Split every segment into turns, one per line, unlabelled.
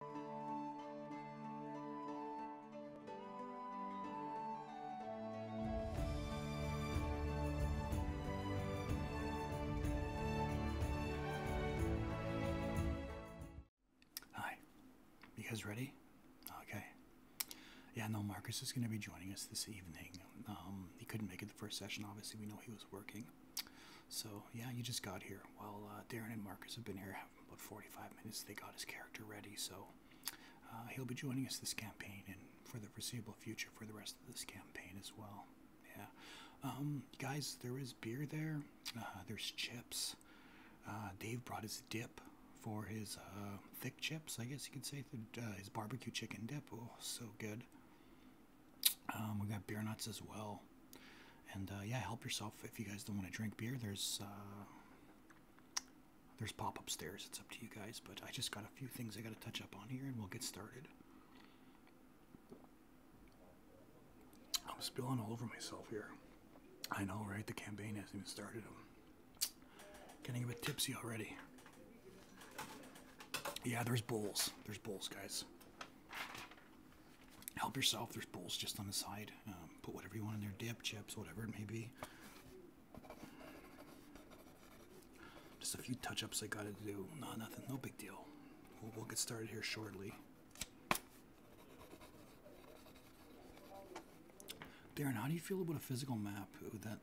Hi, you guys ready? Okay. Yeah, no, Marcus is going to be joining us this evening. Um, he couldn't make it the first session, obviously. We know he was working. So, yeah, you just got here while uh, Darren and Marcus have been here about 45 minutes. They got his character ready, so uh, he'll be joining us this campaign and for the foreseeable future for the rest of this campaign as well. Yeah. Um, guys, there is beer there. Uh, there's chips. Uh, Dave brought his dip for his thick chips, I guess you could say. his barbecue chicken dip. Oh, so good. Um, we got beer nuts as well. And uh, yeah, help yourself if you guys don't want to drink beer. There's uh, there's pop upstairs. It's up to you guys. But I just got a few things I got to touch up on here, and we'll get started. I'm spilling all over myself here. I know, right? The campaign hasn't even started. getting a bit tipsy already. Yeah, there's bowls. There's bowls, guys help yourself. There's bowls just on the side. Um, put whatever you want in there dip, chips, whatever it may be. Just a few touch ups I gotta do. No, nothing, no big deal. We'll, we'll get started here shortly. Darren, how do you feel about a physical map? Would that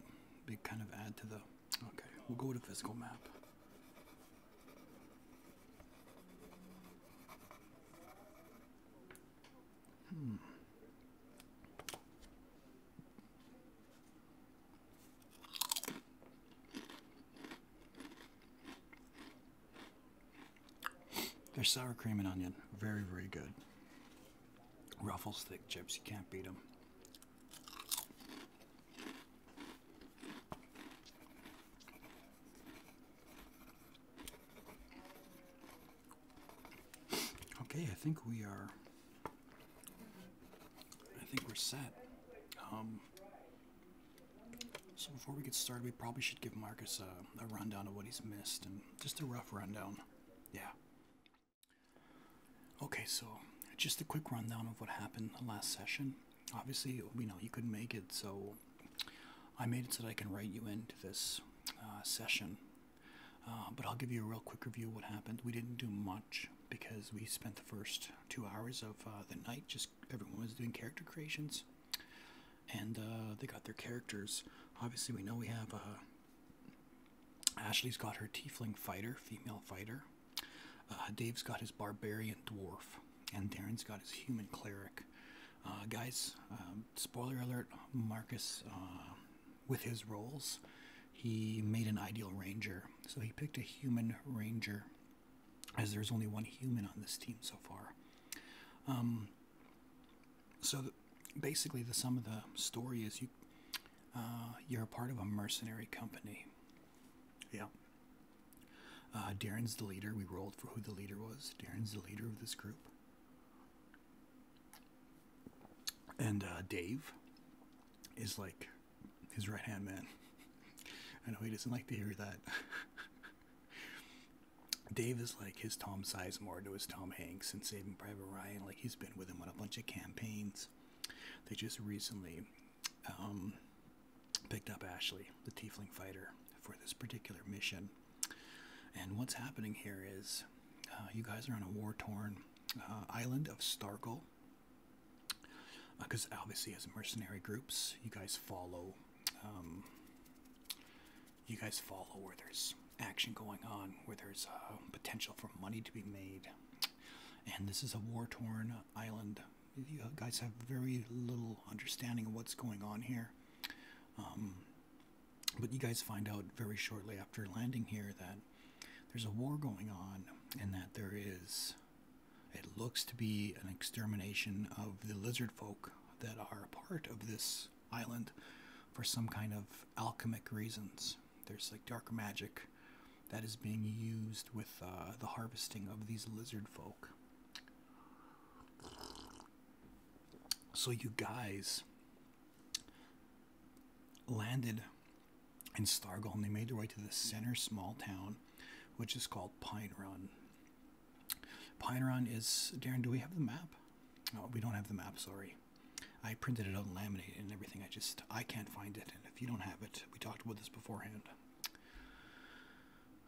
be kind of add to the. Okay, we'll go with a physical map. Hmm. Their sour cream and onion, very, very good. Ruffles thick chips, you can't beat them. Okay, I think we are. I think we're set. Um, so before we get started, we probably should give Marcus a, rundown of what he's missed and just a rough rundown. Yeah. Okay, so just a quick rundown of what happened the last session obviously, you know, you could make it, so I made it so I can write you into this uh, session. Uh, but I'll give you a real quick review of what happened. We didn't do much because we spent the first two hours of uh, the night just everyone was doing character creations and they got their characters. Obviously, we know we have Ashley's got her tiefling fighter, female fighter. Dave's got his barbarian dwarf, and Darren's got his human cleric. Uh, guys, um, spoiler alert Marcus, uh, with his roles, he made an ideal ranger. So he picked a human ranger, as there's only one human on this team so far. Um, so basically, the sum of the story is you uh, you're part of a mercenary company. Yeah. Uh, Darren's the leader. We rolled for who the leader was. Darren's the leader of this group. And uh, Dave is like his right hand man. I know he doesn't like to hear that. Dave is like his Tom Sizemore to his Tom Hanks and Saving Private Ryan. Like he's been with him on a bunch of campaigns. They just recently um, picked up Ashley, the Tiefling fighter, for this particular mission. And what's happening here is uh, you guys are on a war torn uh, island of Starkle. Because uh, obviously, as mercenary groups, you guys follow. Um, you guys follow where there's action going on, where there's potential for money to be made, and this is a war-torn island. You guys have very little understanding of what's going on here. Um, but you guys find out very shortly after landing here that there's a war going on and that there is, it looks to be an extermination of the lizard folk that are a part of this island for some kind of alchemic reasons. There's like dark magic that is being used with uh, the harvesting of these lizard folk. So you guys landed in Stargall and they made their way to the center small town, which is called Pine Run. Pine Run is Darren, do we have the map? we don't have the map, sorry. I printed it out and laminated and everything. I just I can't find it. And if you don't have it, we talked about this beforehand.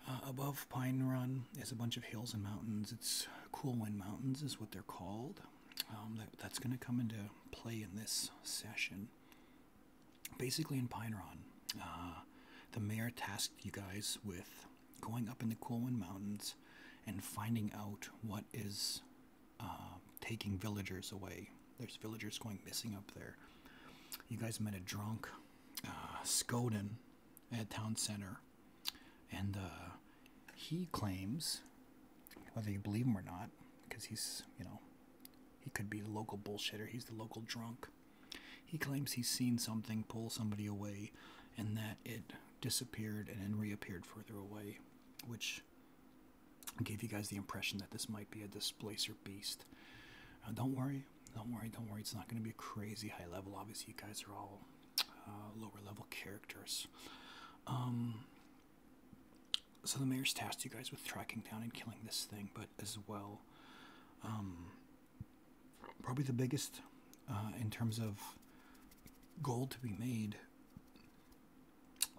Uh, above Pine Run is a bunch of hills and mountains. It's Cool Wind Mountains is what they're called. Um, that's going to come into play in this session. Basically, in Pine Run, uh, the mayor tasked you guys with going up in the Cool Wind Mountains and finding out what is uh, taking villagers away. There's villagers going missing up there. You guys met a drunk uh, Skoden at town center, and uh, he claims, whether you believe him or not, because he's you know he could be the local bullshitter. He's the local drunk. He claims he's seen something pull somebody away, and that it disappeared and then reappeared further away, which gave you guys the impression that this might be a displacer beast. don't worry, don't worry, don't worry. It's not going to be a crazy high level. Obviously, you guys are all uh, lower level characters. Um, so the mayor's tasked you guys with tracking down and killing this thing, but as well, um, probably the biggest uh, in terms of gold to be made.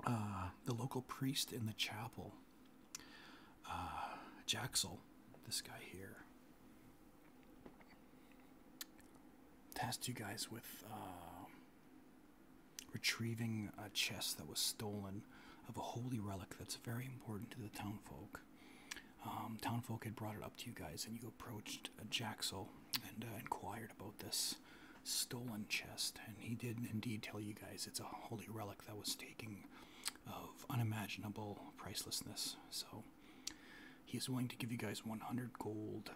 Uh, the local priest in the chapel, uh, Jaxel, this guy here, tasked you guys with uh, retrieving a chest that was stolen of a holy relic that's very important to the townfolk. Um, townfolk had brought it up to you guys, and you approached uh, Jaxel and inquired about this stolen chest, and he did indeed tell you guys it's a holy relic that was taken of unimaginable pricelessness. So he is willing to give you guys 100 gold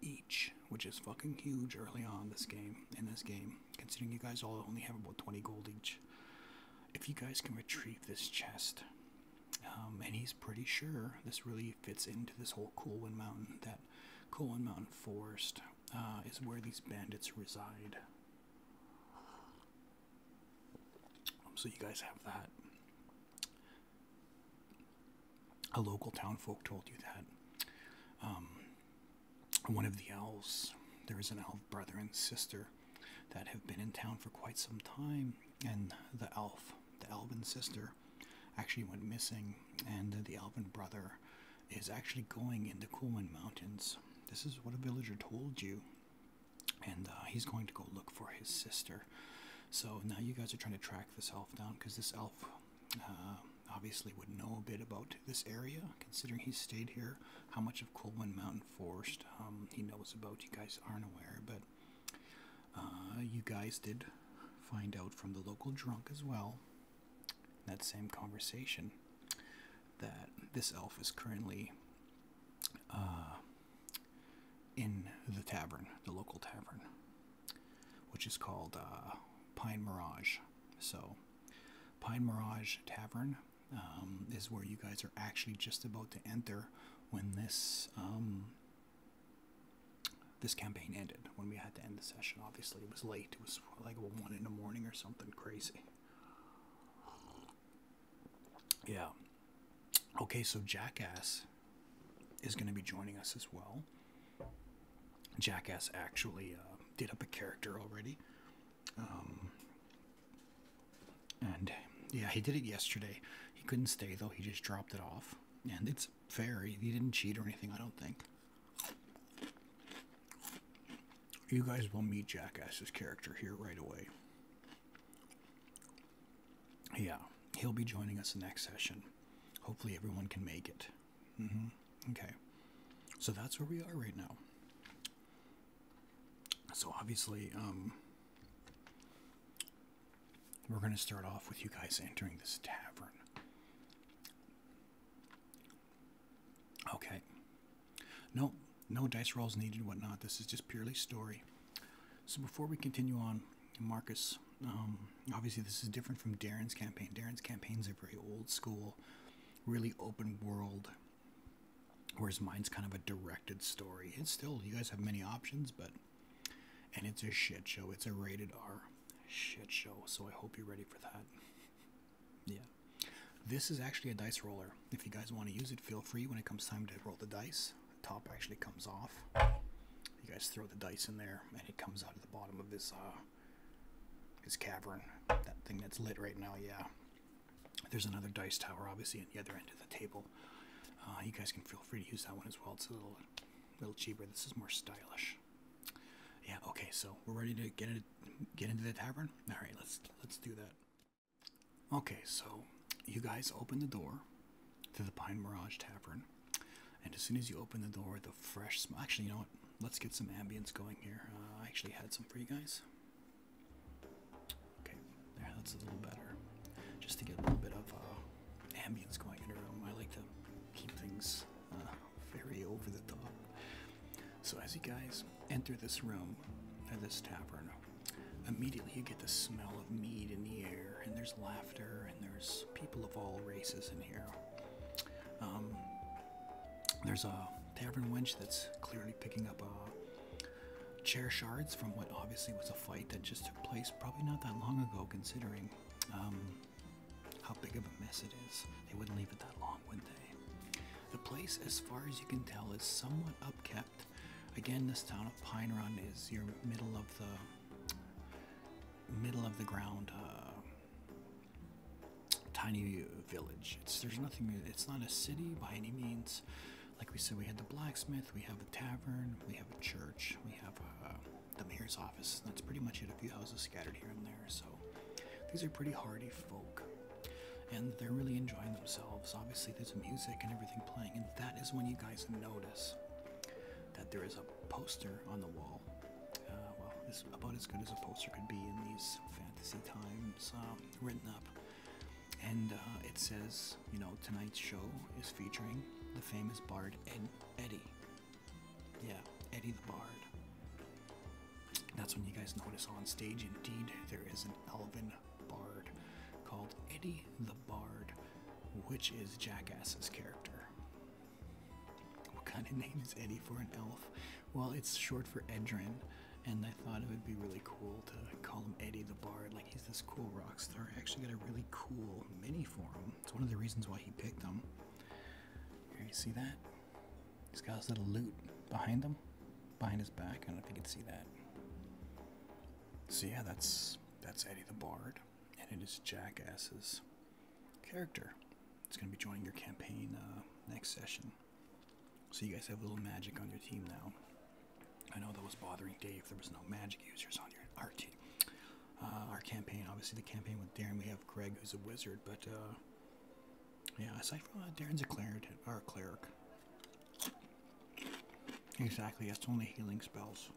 each, which is fucking huge early on this game. In this game, considering you guys all only have about 20 gold each, if you guys can retrieve this chest, um, and he's pretty sure this really fits into this whole Colwyn Mountain. That Colwyn Mountain Forest uh, is where these bandits reside. Um, so you guys have that. A local townfolk told you that. Um, one of the elves, there is an elf brother and sister that have been in town for quite some time, and the elf, the elven sister, actually went missing, and the elven brother is actually going in the Coolman Mountains. This is what a villager told you and uh, he's going to go look for his sister. So now you guys are trying to track this elf down because this elf uh, obviously would know a bit about this area, considering he stayed here. How much of Colwyn Mountain Forest um, he knows about, you guys aren't aware, but uh, you guys did find out from the local drunk as well. That same conversation that this elf is currently in the tavern, the local tavern, which is called uh, Pine Mirage. So, Pine Mirage Tavern um, is where you guys are actually just about to enter when this um, this campaign ended. When we had to end the session, obviously it was late. It was like one in the morning or something crazy. Yeah. Okay, so Jackass is going to be joining us as well. Jackass actually uh, did up a character already. Um, and yeah, he did it yesterday. He couldn't stay though, he just dropped it off. And it's fair, he didn't cheat or anything, I don't think. You guys will meet Jackass's character here right away. Yeah, he'll be joining us the next session. Hopefully, everyone can make it. Mm-hmm, okay, so that's where we are right now. So, obviously, um, we're going to start off with you guys entering this tavern. Okay, no, no dice rolls needed, whatnot. This is just purely story. So before we continue on, Marcus, um, obviously this is different from Darren's campaign. Darren's campaign is a very old school, really open world, whereas mine's kind of a directed story. It's still, you guys have many options, but, and it's a shit show. It's a rated R shit show, so I hope you're ready for that. yeah. This is actually a dice roller. If you guys want to use it, feel free. When it comes time to roll the dice, the top actually comes off. You guys throw the dice in there, and it comes out of the bottom of this uh, this cavern. That thing that's lit right now, yeah. There's another dice tower, obviously, at the other end of the table. Uh, you guys can feel free to use that one as well. It's a little, little cheaper. This is more stylish. Yeah. Okay. So we're ready to get it, get into the tavern. All right. Let's let's do that. Okay, so you guys open the door to the Pine Mirage Tavern, and as soon as you open the door, the fresh smell. Actually, you know what? Let's get some ambience going here. Uh, I actually had some for you guys. Okay, there, that's a little better. Just to get a little bit of uh, ambience going in the room. I like to keep things uh, very over the top. So as you guys enter this room, or this tavern, Immediately, you get the smell of mead in the air, and there's laughter, and there's people of all races in here. Um, there's a tavern wench that's clearly picking up uh, chair shards from what obviously was a fight that just took place probably not that long ago, considering um, how big of a mess it is. They wouldn't leave it that long, would they? The place, as far as you can tell, is somewhat upkept. Again, this town of Pine Run is your middle of the middle of the ground uh, tiny village. It's there's nothing. It's not a city by any means. Like we said, we had the blacksmith, we have a tavern, we have a church, we have uh, the mayor's office. that's pretty much it. A few houses scattered here and there. So these are pretty hardy folk and they're really enjoying themselves. Obviously, there's music and everything playing, and that is when you guys notice that there is a poster on the wall. Uh, well, it's about as good as a poster could be in these fantasy times, um, written up. And uh, it says, you know, tonight's show is featuring the famous bard Eddie. Yeah, Eddie the Bard. That's when you guys notice on stage, indeed, there is an elven bard called Eddie the Bard, which is Jackass's character. What kind of name is Eddie for an elf? Well, it's short for Edrin, and I thought it would be really cool to call him Eddie the Bard. Like, he's this cool rockstar. I actually got a really cool mini for him. It's one of the reasons why he picked him. Here, you see that? He's got his little loot behind him, behind his back. I don't know if you can see that. So yeah, that's that's Eddie the Bard, and it is Jackass's character. It's going to be joining your campaign uh, next session. So you guys have a little magic on your team now. I know that was bothering Dave. There was no magic users on your our team. Uh, our campaign, obviously the campaign with Darren, we have Greg who's a wizard, but uh, yeah, aside from Darren's a cleric, our cleric. Exactly, That's only healing spells.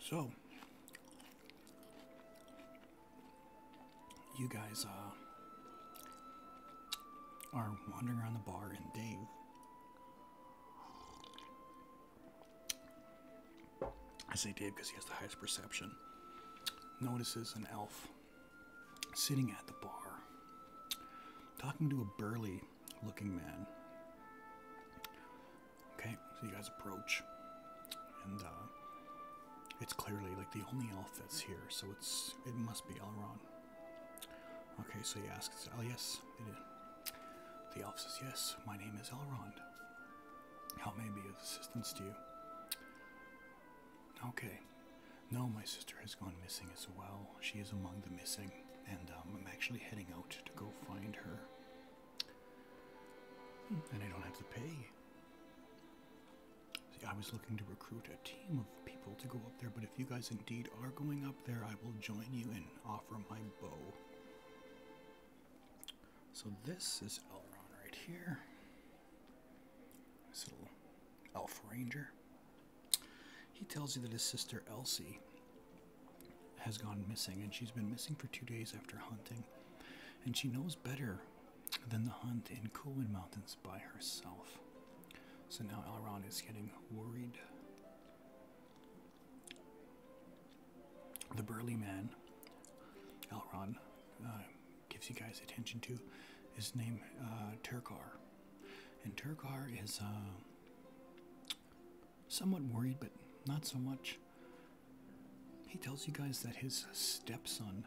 So, you guys uh, are wandering around the bar, and Dave. I say Dave because he has the highest perception. Notices an elf sitting at the bar, talking to a burly looking man. Okay, so you guys approach, and uh, it's clearly like the only elf that's here, so it's it must be Elrond. Okay, so he asks, "Oh yes, The elf says, "Yes, my name is Elrond. How may I be of assistance to you?" Okay. No, my sister has gone missing as well. She is among the missing, and um, I'm actually heading out to go find her. And I don't have to pay. See, I was looking to recruit a team of people to go up there, but if you guys indeed are going up there, I will join you and offer my bow. So this is Elron right here. This Elf Ranger. He tells you that his sister Elsie has gone missing, and she's been missing for two days after hunting, and she knows better than the hunt in Kulin Mountains by herself. So now Elrond is getting worried. The burly man, Elrond, uh, gives you guys attention to, is name uh, Turkar. And Turgar is uh, somewhat worried, but not so much. He tells you guys that his stepson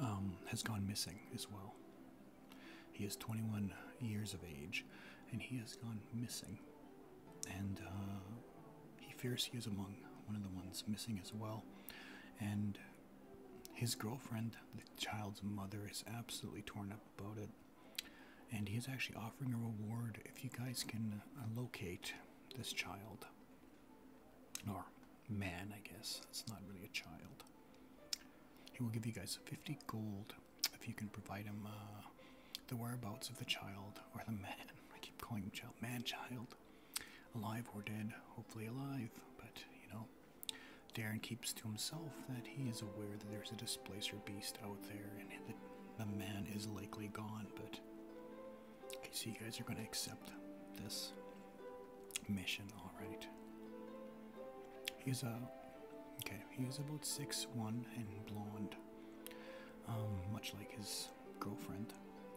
um, has gone missing as well. He is 21 years of age, and he has gone missing. And uh, he fears he is among one of the ones missing as well. And his girlfriend, the child's mother, is absolutely torn up about it, and he is actually offering a reward if you guys can uh, locate this child or man, I guess. It's not really a child. He will give you guys 50 gold if you can provide him uh, the whereabouts of the child or the man. I keep calling him child, man child alive or dead, hopefully alive, but you know. Darren keeps to himself that he is aware that there's a displacer beast out there and that the man is likely gone, but okay, so you guys are going to accept this mission, alright. He's a uh, okay, he is about one and blonde, um, much like his girlfriend,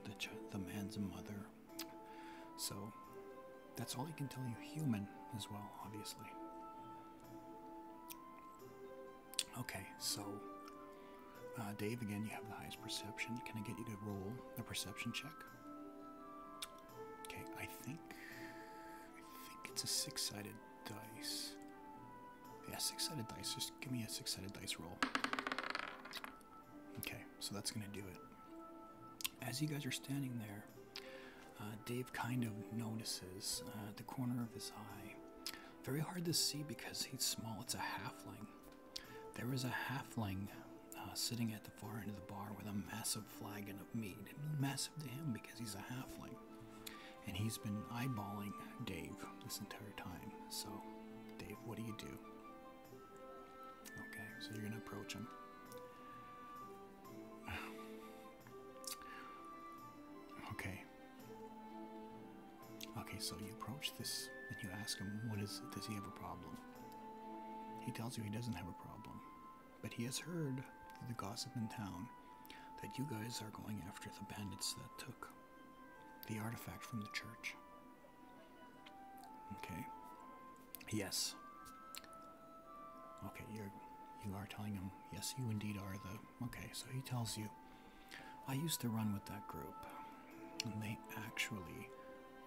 the, the man's mother so that's all I can tell you. Human as well, obviously. Okay, so uh, Dave, again, you have the highest perception. Can I get you to roll a perception check? Okay, I think I think it's a six-sided dice. Yeah, six-sided dice. Just give me a six-sided dice roll. Okay, so that's going to do it. As you guys are standing there, uh, Dave kind of notices uh, the corner of his eye. Very hard to see because he's small. It's a halfling. There is a halfling uh, sitting at the far end of the bar with a massive flagon of mead. massive to him because he's a halfling. And he's been eyeballing Dave this entire time. So, Dave, what do you do? Okay, so you're gonna approach him. Okay. Okay, so you approach this and you ask him, "What is? Does he have a problem?" He tells you he doesn't have a problem, but he has heard through the gossip in town that you guys are going after the bandits that took the artifact from the church. Okay. Yes. Okay, you're you are telling him, yes, you indeed are the okay, so he tells you I used to run with that group, and they actually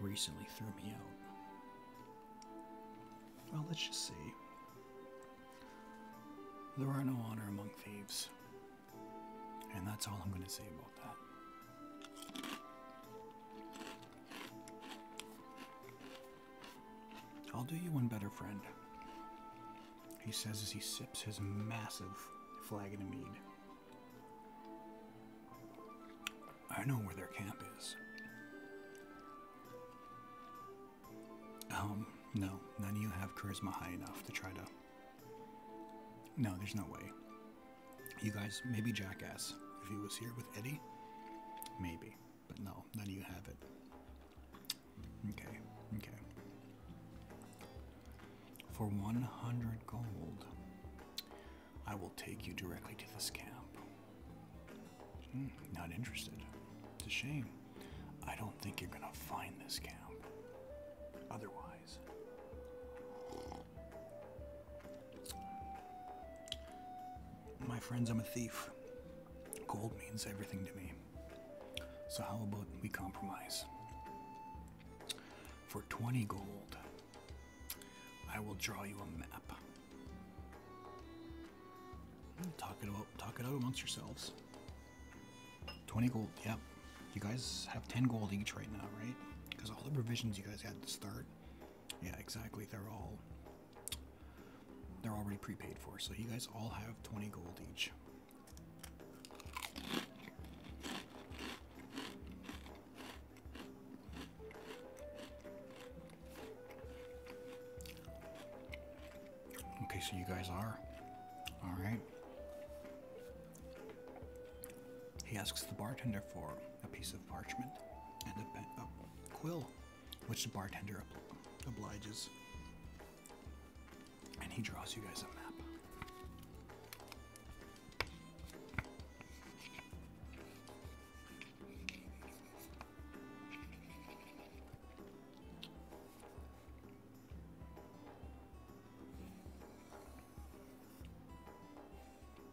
recently threw me out. Well, let's just see. There are no honor among thieves. And that's all I'm going to say about that. I'll do you one better, friend, he says as he sips his massive flagon of mead. I know where their camp is. Um, no, none of you have charisma high enough to try to. No, there's no way. You guys, maybe Jackass. If he was here with Eddie, maybe. But no, none of you have it. Okay, okay. For 100 gold, I will take you directly to this camp. Hmm, not interested. It's a shame. I don't think you're gonna find this camp. Otherwise. My friends, I'm a thief. Gold means everything to me. So, how about we compromise? For 20 gold, I will draw you a map. Talk it out, talk it out amongst yourselves. 20 gold, yep. You guys have 10 gold each right now, right? Because all the provisions you guys had to start yeah, exactly. They're all they're already prepaid for, so you guys all have 20 gold each. Okay, so you guys are. Alright. He asks the bartender for a piece of parchment and a, a quill, which the bartender obliges. And he draws you guys a map.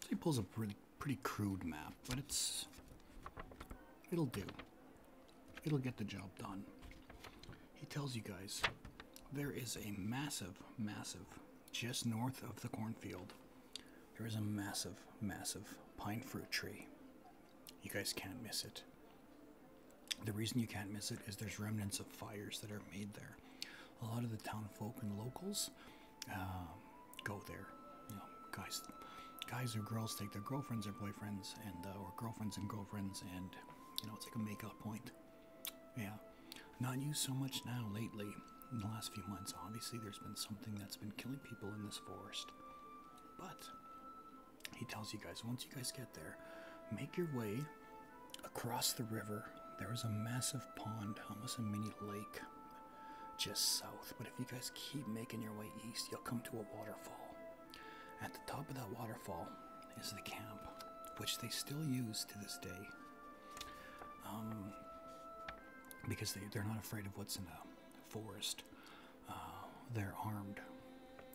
So he pulls a pretty crude map, but it's it'll do. It'll get the job done. He tells you guys there is a massive, massive, just north of the cornfield, there is a massive, massive pine fruit tree. You guys can't miss it. The reason you can't miss it is there's remnants of fires that are made there. A lot of the town folk and locals um, go there. You know, guys, guys or girls take their girlfriends or boyfriends, and uh, or girlfriends and girlfriends, and you know, it's like a makeout point. Yeah, not used so much now lately. In the last few months, obviously, there's been something that's been killing people in this forest. But he tells you guys once you guys get there, make your way across the river. There is a massive pond, almost a mini lake just south, but if you guys keep making your way east, you'll come to a waterfall. At the top of that waterfall is the camp, which they still use to this day um, because they, they're not afraid of what's in the forest. Uh, they're armed.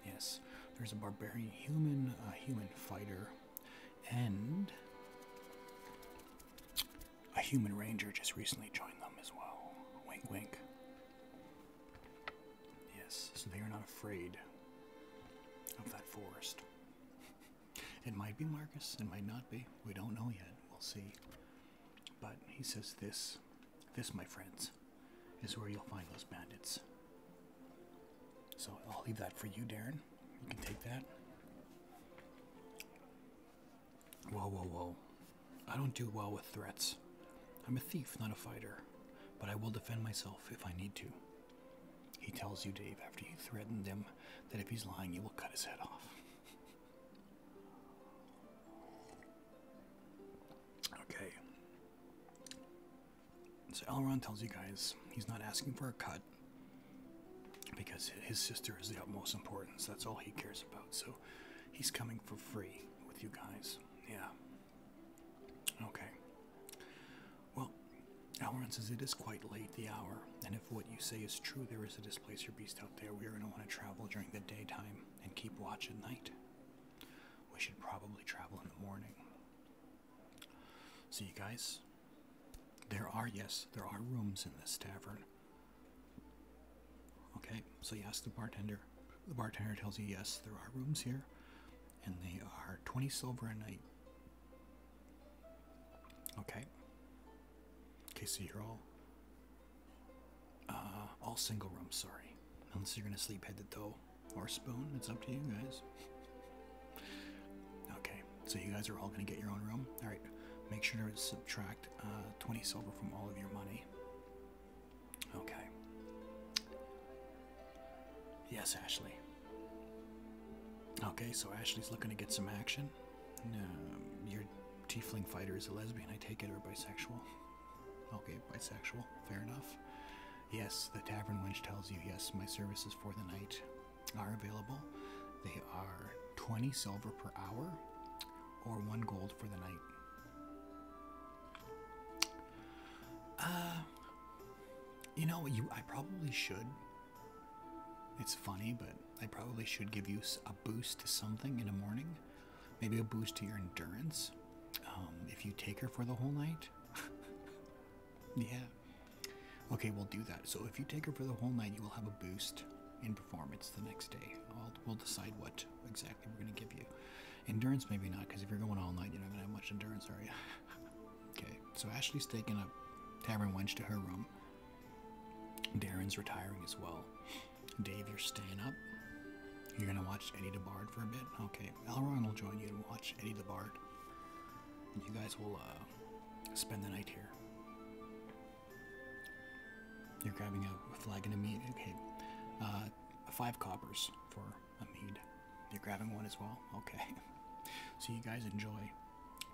Yes, there's a barbarian human, a human fighter, and a human ranger just recently joined them as well. Wink, wink. Yes, so they are not afraid of that forest. It might be Marcus, it might not be. We don't know yet. We'll see. But he says this, this, my friends, is where you'll find those bandits. So I'll leave that for you, Darren. You can take that. Whoa, whoa, whoa. I don't do well with threats. I'm a thief, not a fighter, but I will defend myself if I need to. He tells you, Dave, after you threaten them, that if he's lying, he will cut his head off. okay. So Elrond tells you guys he's not asking for a cut, because his sister is the utmost importance. That's all he cares about. So he's coming for free with you guys. Yeah. Okay. Well, Alran says it is quite late, the hour, and if what you say is true, there is a displacer beast out there. We are going to want to travel during the daytime and keep watch at night. We should probably travel in the morning. See you guys, there are, yes, there are rooms in this tavern. Okay, so you ask the bartender. The bartender tells you, yes, there are rooms here, and they are 20 silver a night. Okay. Okay, so you're all, uh, all single rooms, sorry. Unless you're gonna sleep head to toe or spoon, it's up to you guys. Okay, so you guys are all going to get your own room. All right, make sure to subtract uh, 20 silver from all of your money. Okay. Yes, Ashley. Okay, so Ashley's looking to get some action. Um, your tiefling fighter is a lesbian, I take it, or bisexual. Okay, bisexual. Fair enough. Yes, the tavern wench tells you, yes, my service is for the night are available. They are 20 silver per hour or one gold for the night. Uh, you know, you I probably should. It's funny, but I probably should give you a boost to something in the morning. Maybe a boost to your endurance. Um, if you take her for the whole night. yeah. Okay, we'll do that. So if you take her for the whole night, you will have a boost in performance the next day. we'll decide what exactly we're going to give you. Endurance, maybe not, because if you're going all night, you're not going to have much endurance, are you? okay, so Ashley's taking a tavern wench to her room. Darren's retiring as well. Dave, you're staying up. You're going to watch Eddie DeBard for a bit? Okay, Alron will join you and watch Eddie DeBard. And you guys will uh, spend the night here. You're grabbing a, a flagon of mead. Okay, uh, five coppers for a mead. You're grabbing one as well. Okay. So you guys enjoy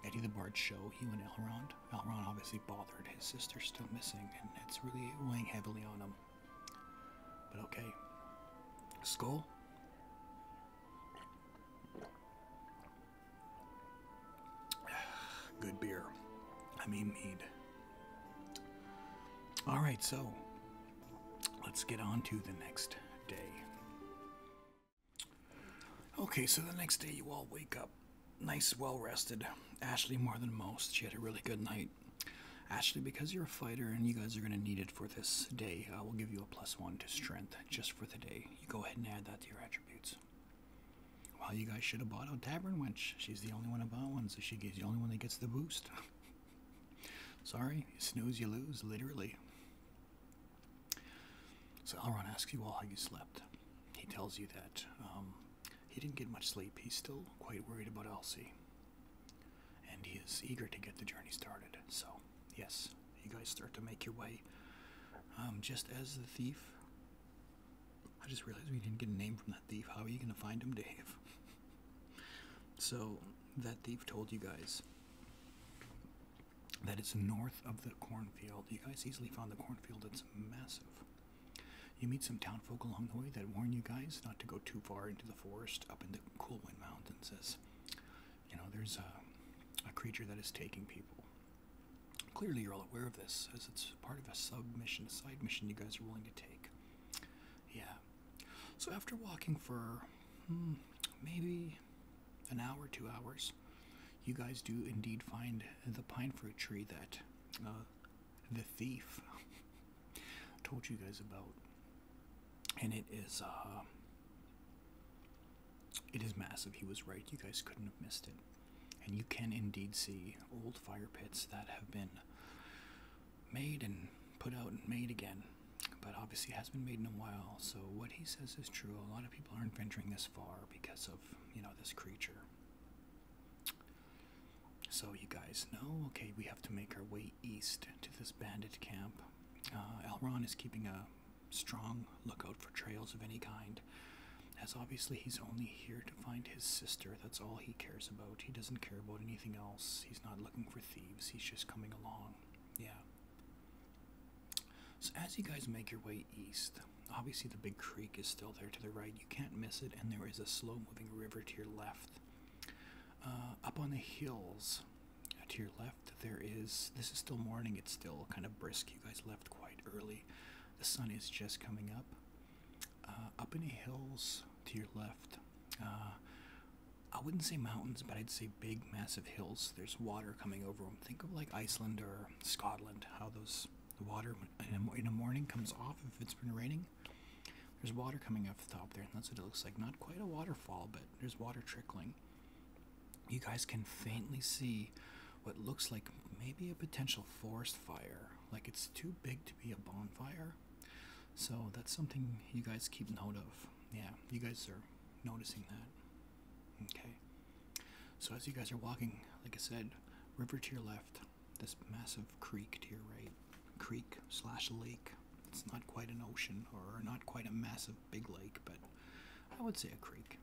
Eddie the Bard show. You and Elrond. Elrond obviously bothered. His sister's still missing, and it's really weighing heavily on him. But okay. Skull. Good beer. I mean, mead. All right, so let's get on to the next day. Okay, so the next day you all wake up nice, well rested. Ashley, more than most, she had a really good night. Ashley, because you're a fighter and you guys are going to need it for this day, I will give you a plus one to strength just for the day. You go ahead and add that to your attributes. Well, you guys should have bought a Tavern Wench. She's the only one who bought one, so she's the only one that gets the boost. Sorry, you snooze, you lose, literally. So Elrond asks you all how you slept. He tells you that um, he didn't get much sleep. He's still quite worried about Elsie. And he is eager to get the journey started. So, yes, you guys start to make your way. Um, just as the thief, I just realized we didn't get a name from that thief. How are you going to find him, Dave? so that thief told you guys that it's north of the cornfield. You guys easily found the cornfield. It's massive. You meet some townfolk along the way that warn you guys not to go too far into the forest up in the cool wind Mountains. As you know, there's a creature that is taking people. Clearly, you're all aware of this, as it's part of a sub-mission, a side mission you guys are willing to take. Yeah. So after walking for hmm, maybe an hour, two hours, you guys do indeed find the pine fruit tree that uh, the thief told you guys about, and it is uh, it is massive. He was right. You guys couldn't have missed it. And you can indeed see old fire pits that have been made and put out and made again. But obviously, it has been made in a while. So what he says is true. A lot of people aren't venturing this far because of you know this creature. So you guys know. Okay, we have to make our way east to this bandit camp. Uh, is keeping a strong lookout for trails of any kind, as obviously he's only here to find his sister. That's all he cares about. He doesn't care about anything else. He's not looking for thieves. He's just coming along. Yeah. So, as you guys make your way east, obviously the big creek is still there to the right. You can't miss it, and there is a slow moving river to your left. Uh, up on the hills to your left, there is. This is still morning, it's still kind of brisk. You guys left quite early. The sun is just coming up. Uh, up in the hills to your left, uh, I wouldn't say mountains, but I'd say big, massive hills. There's water coming over them. Think of like Iceland or Scotland, how those the water in the morning comes off if it's been raining. There's water coming off the top there, and that's what it looks like. Not quite a waterfall, but there's water trickling. You guys can faintly see what looks like maybe a potential forest fire. Like it's too big to be a bonfire. So that's something you guys keep note of. Yeah, you guys are noticing that. Okay. So as you guys are walking, like I said, river to your left, this massive creek to your right, creek slash lake. It's not quite an ocean or not quite a massive big lake, but I would say a creek.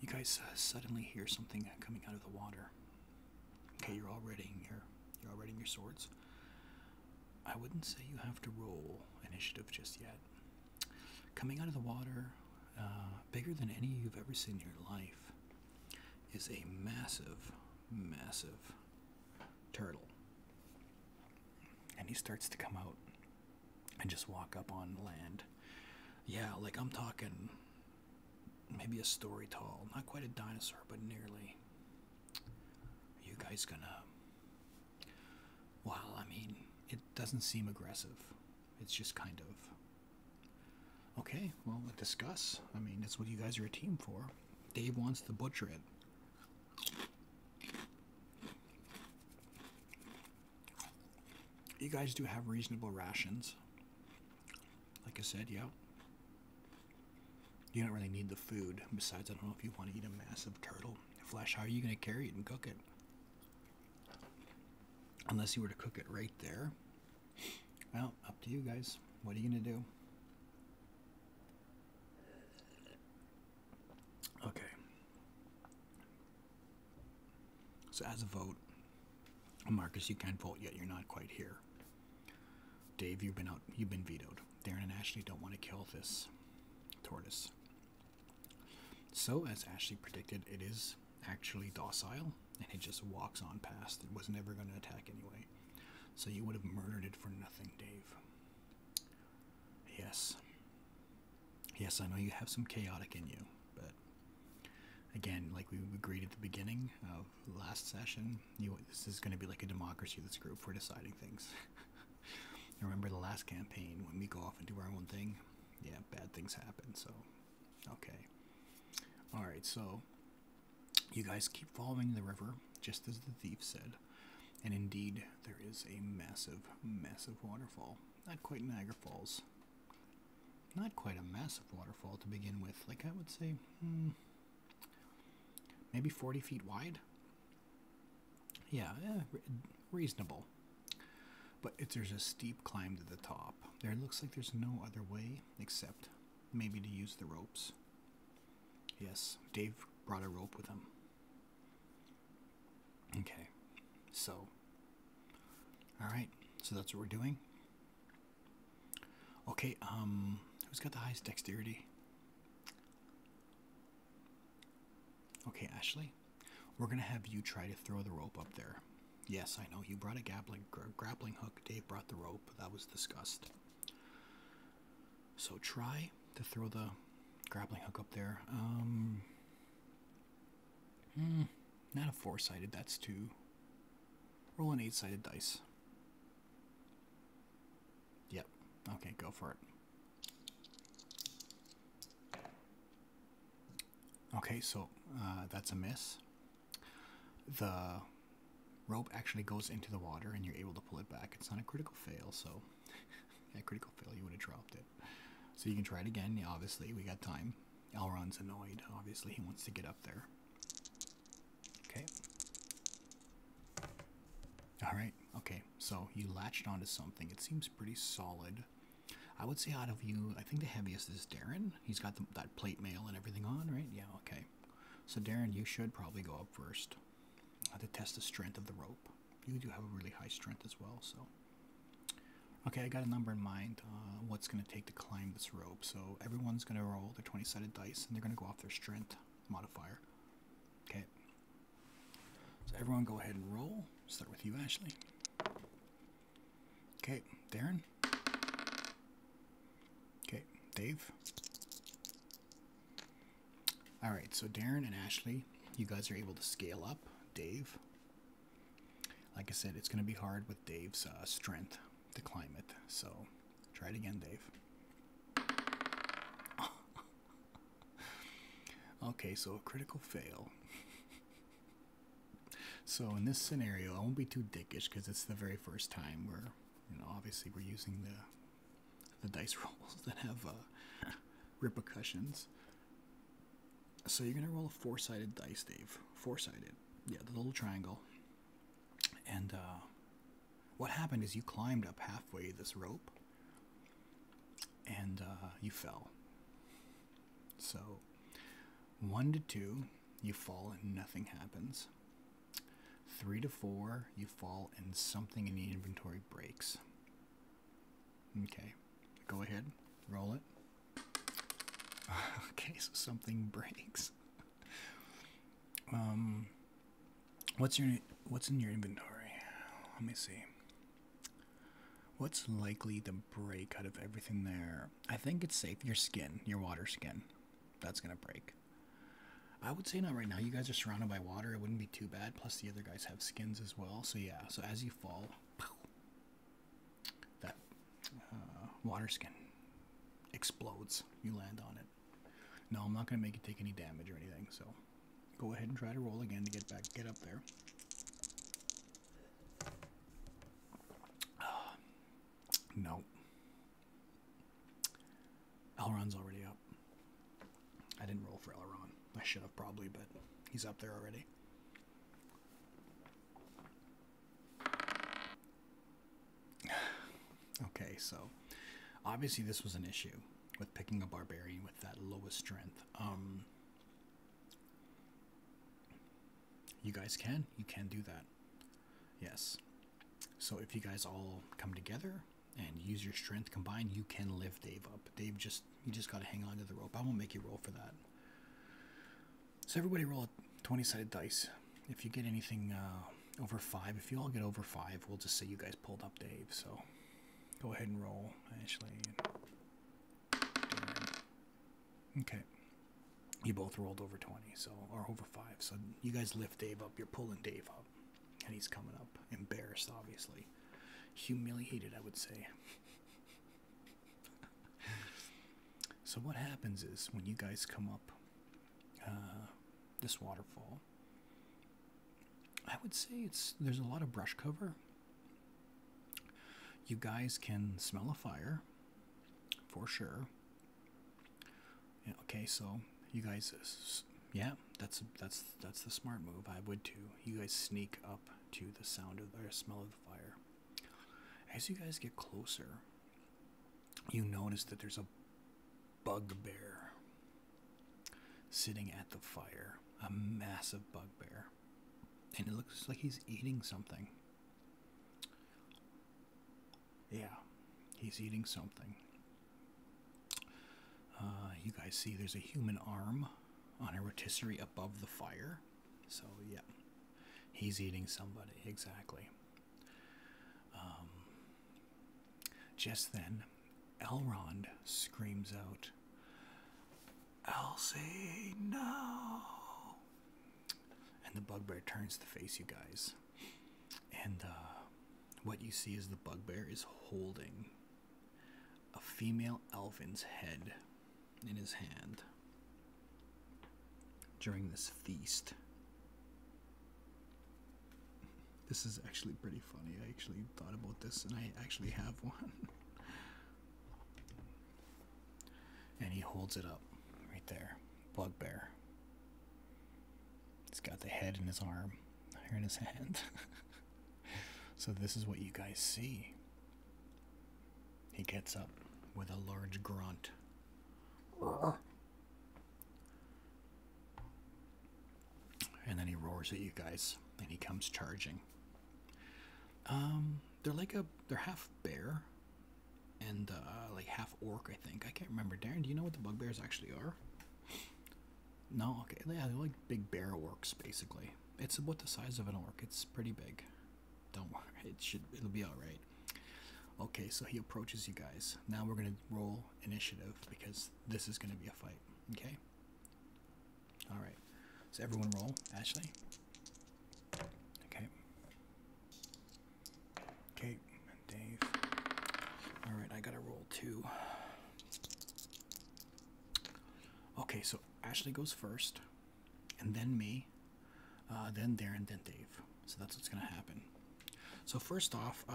You guys uh, suddenly hear something uh, coming out of the water. Okay, you're all readying your you're all readying your swords. I wouldn't say you have to roll initiative just yet. Coming out of the water, uh, bigger than any you've ever seen in your life, is a massive, massive turtle. And he starts to come out and just walk up on land. Yeah, like I'm talking maybe a story tall, not quite a dinosaur, but nearly. you guys gonna. Well, I mean, it doesn't seem aggressive. It's just kind of. Okay, well, discuss. I mean, that's what you guys are a team for. Dave wants to butcher it. You guys do have reasonable rations. Like I said, yeah. You don't really need the food. Besides, I don't know if you want to eat a massive turtle flesh. How are you going to carry it and cook it? Unless you were to cook it right there. Well, up to you guys. What are you going to do? Okay. So as a vote, Marcus, you can't vote yet. You're not quite here. Dave, you've been out. You've been vetoed. Darren and Ashley don't want to kill this tortoise. So as Ashley predicted, it is actually docile and it just walks on past. It was never going to attack anyway. So you would have murdered it for nothing, Dave. Yes. Yes, I know you have some chaotic in you, but again, like we agreed at the beginning of the last session, this is going to be like a democracy. This group we're deciding things. Remember the last campaign when we go off and do our own thing? Yeah, bad things happen. So, okay. All right. So, you guys keep following the river, just as the thief said. And indeed, there is a massive, massive waterfall. Not quite Niagara Falls not quite a massive waterfall to begin with. Like I would say, hmm, maybe 40 feet wide. Yeah, eh, reasonable. But if there's a steep climb to the top, there looks like there's no other way except maybe to use the ropes. Yes, Dave brought a rope with him. Okay, so, alright, so that's what we're doing. Okay, um, who's got the highest dexterity? Okay, Ashley, we're gonna have you try to throw the rope up there. Yes, I know you brought a grappling, grappling hook. Dave brought the rope. That was discussed. So try to throw the grappling hook up there. Um, Mm, not a four-sided, that's two. Roll an eight-sided dice. Yep. Okay, go for it. Okay, so uh, that's a miss. The rope actually goes into the water and you're able to pull it back. It's not a critical fail, so... a critical fail, you would have dropped it. So you can try it again. obviously, we got time. Alron's annoyed. Obviously, he wants to get up there. Okay. All right. Okay. So you latched onto something. It seems pretty solid. I would say out of you, I think the heaviest is Darren. He's got that plate mail and everything on, right? Yeah. Okay. So Darren, you should probably go up first. to test the strength of the rope. You do have a really high strength as well, so. Okay, I got a number in mind. Uh, what's going to take to climb this rope? So everyone's going to roll their 20 sided dice and they're going to go off their strength modifier. Okay. So everyone go ahead and roll. Start with you, Ashley. Okay, Darren. Okay, Dave. All right, so Darren and Ashley, you guys are able to scale up. Dave, like I said, it's going to be hard with Dave's uh, strength to climb it. So try it again, Dave. okay, so a critical fail. so in this scenario, I won't be too dickish because it's the very first time where, you know, obviously we're using the the dice rolls that have uh, repercussions. So you're gonna roll a four-sided dice, Dave. Four-sided. Yeah, the little triangle. And uh, what happened is you climbed up halfway this rope, and uh, you fell. So one to two, you fall and nothing happens. Three to four, you fall and something in the inventory breaks. Okay, go ahead, roll it. Okay, so something breaks. um, what's your what's in your inventory? Let me see. What's likely to break out of everything there? I think it's safe. Your skin, your water skin, that's gonna break. I would say not right now. You guys are surrounded by water. It wouldn't be too bad. Plus, the other guys have skins as well. So yeah. So as you fall, that uh, water skin explodes. You land on it. No, I'm not gonna make you take any damage or anything. So go ahead and try to roll again to get back, get up there. no. Elron's already up. I didn't roll for Elron. I should have probably, but he's up there already okay, so obviously this was an issue with picking a barbarian with that lowest strength. Um, you guys can, you can do that. Yes. So if you guys all come together and use your strength combined, you can lift Dave up. Dave just you just gotta hang on to the rope. I won't make you roll for that. So everybody roll a 20-sided dice. If you get anything uh, over five, if you all get over five, we'll just say you guys pulled up Dave. So go ahead and roll, Ashley. Okay. You both rolled over 20, so or over five. So you guys lift Dave up. You're pulling Dave up, and he's coming up, embarrassed, obviously, humiliated, I would say so what happens is when you guys come up uh, this waterfall, I would say it's there's a lot of brush cover. You guys can smell a fire for sure. okay, so you guys, yeah, that's that's that's the smart move. I would too. You guys sneak up to the sound of the smell of fire. As you guys get closer, you notice that there's a bugbear sitting at the fire, a massive bugbear. And it looks like he's eating something. Yeah, he's eating something. Uh, you guys see there's a human arm on a rotisserie above the fire. So, yeah, he's eating somebody, exactly. Um, just then, Elrond screams out, Elsie, no! And the bugbear turns to face you guys. And uh, what you see is the bugbear is holding a female elfin's head in his hand during this feast. This is actually pretty funny. I actually thought about this and I actually have one. and he holds it up right there. Bugbear. He's got the head in his arm, or in his hand. so this is what you guys see. He gets up with a large grunt. And then he roars at you guys and he comes charging. Um, they're like a they're half bear and uh, like half orc, I think. I can't remember. Darren, do you know what the bugbears actually are? No, okay. Yeah, they're like big bear orcs basically. It's about the size of an orc. It's pretty big. Don't worry. It should. It'll be all right. Okay, so he approaches you guys. Now we're gonna roll initiative because this is gonna be a fight. Okay. All right. So everyone roll. Ashley. Okay. Okay. Dave. All right. I gotta roll two. Okay, so Ashley goes first and then me, uh, then Darren, then Dave. So that's what's going to happen. So first off, uh,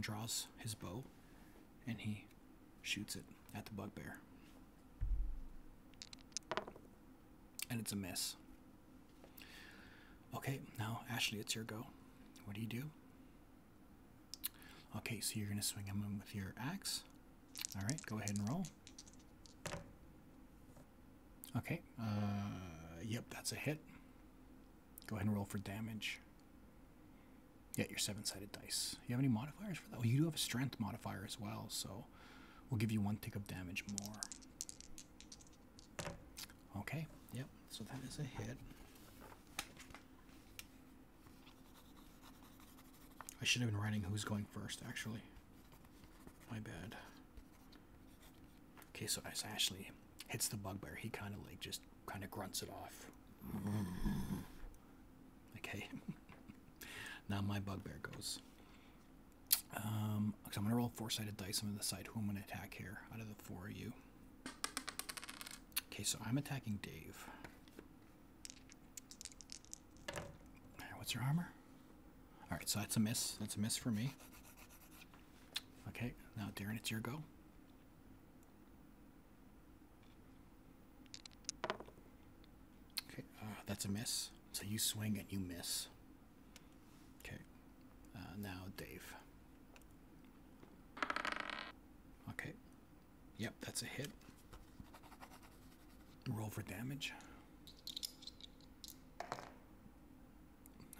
draws his bow, and he shoots it at the bugbear. And it's a miss. Okay, now Ashley, it's your go. What do you do? Okay, so you're going to swing him with your axe. All right, go ahead and roll. Okay. Uh, yep, that's a hit. Go ahead and roll for damage. Yeah, your seven-sided dice. You have any modifiers for that? Oh, you do have a strength modifier as well, so we'll give you one tick of damage more. Okay. Yep. So that is a hit. I should have been writing who's going first, actually. My bad. Okay, so as Ashley hits the bugbear, he kind of like just kind of grunts it off. Okay. now my bugbear goes. Um, i I'm gonna roll four-sided dice. I'm gonna decide who I'm gonna attack here out of the four of you. Okay, so I'm attacking Dave. All right, what's your armor? All right, so that's a miss. That's a miss for me. Okay, now Darren, it's your go. Okay, uh, that's a miss. So you swing and you miss. Okay, uh, now Dave. Okay, Yep, that's a hit. Roll for damage.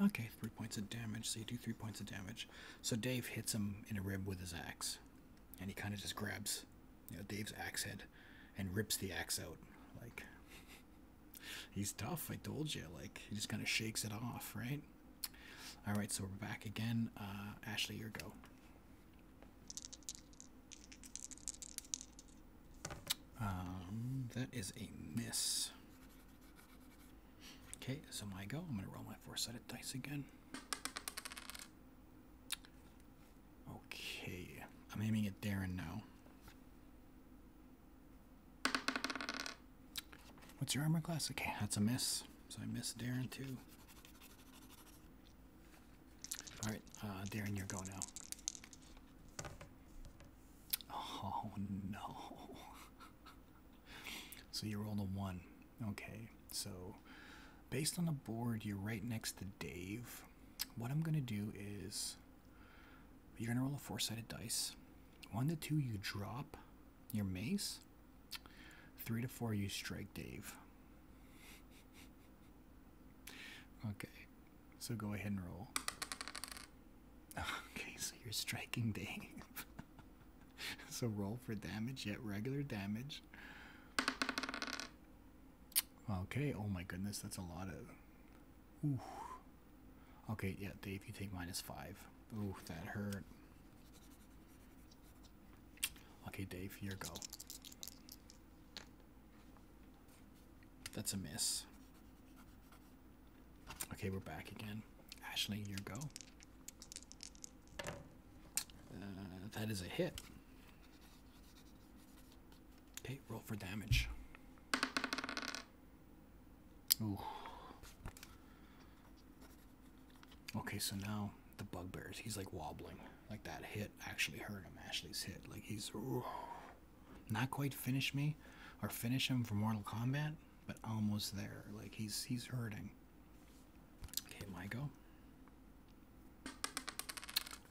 Okay, three points of damage. So you do three points of damage. So Dave hits him in a rib with his axe, and he kind of just grabs, you know, Dave's axe head, and rips the axe out. Like he's tough. I told you. Like he just kind of shakes it off, right? All right, so we're back again. Uh, Ashley, your go. Um, that is a miss. Okay, so my go. I'm going to roll my four-sided dice again. Okay, I'm aiming at Darren now. What's your armor class? Okay, that's a miss. So I miss Darren too. All right, uh, Darren, you're go now. Oh no. so you rolled a one. Okay, so based on the board, you're right next to Dave. What I'm gonna do is you're gonna roll a four-sided dice. One to two, you drop your mace. Three to four, you strike Dave. Okay, so go ahead and roll. Okay, so you're striking Dave. so roll for damage, yet regular damage. Okay, oh my goodness, that's a lot of. Ooh. Okay, yeah, Dave, you take minus five. Ooh, that hurt. Okay, Dave, your go. That's a miss. Okay, we're back again. Ashley, your go. Uh, that is a hit. Okay, roll for damage. Ooh. Okay, so now the bugbears. He's like wobbling. Like that hit actually hurt him. Ashley's hit. Like he's not quite finish me or finish him for Mortal Kombat, but almost there. Like he's he's hurting. Okay, Michael.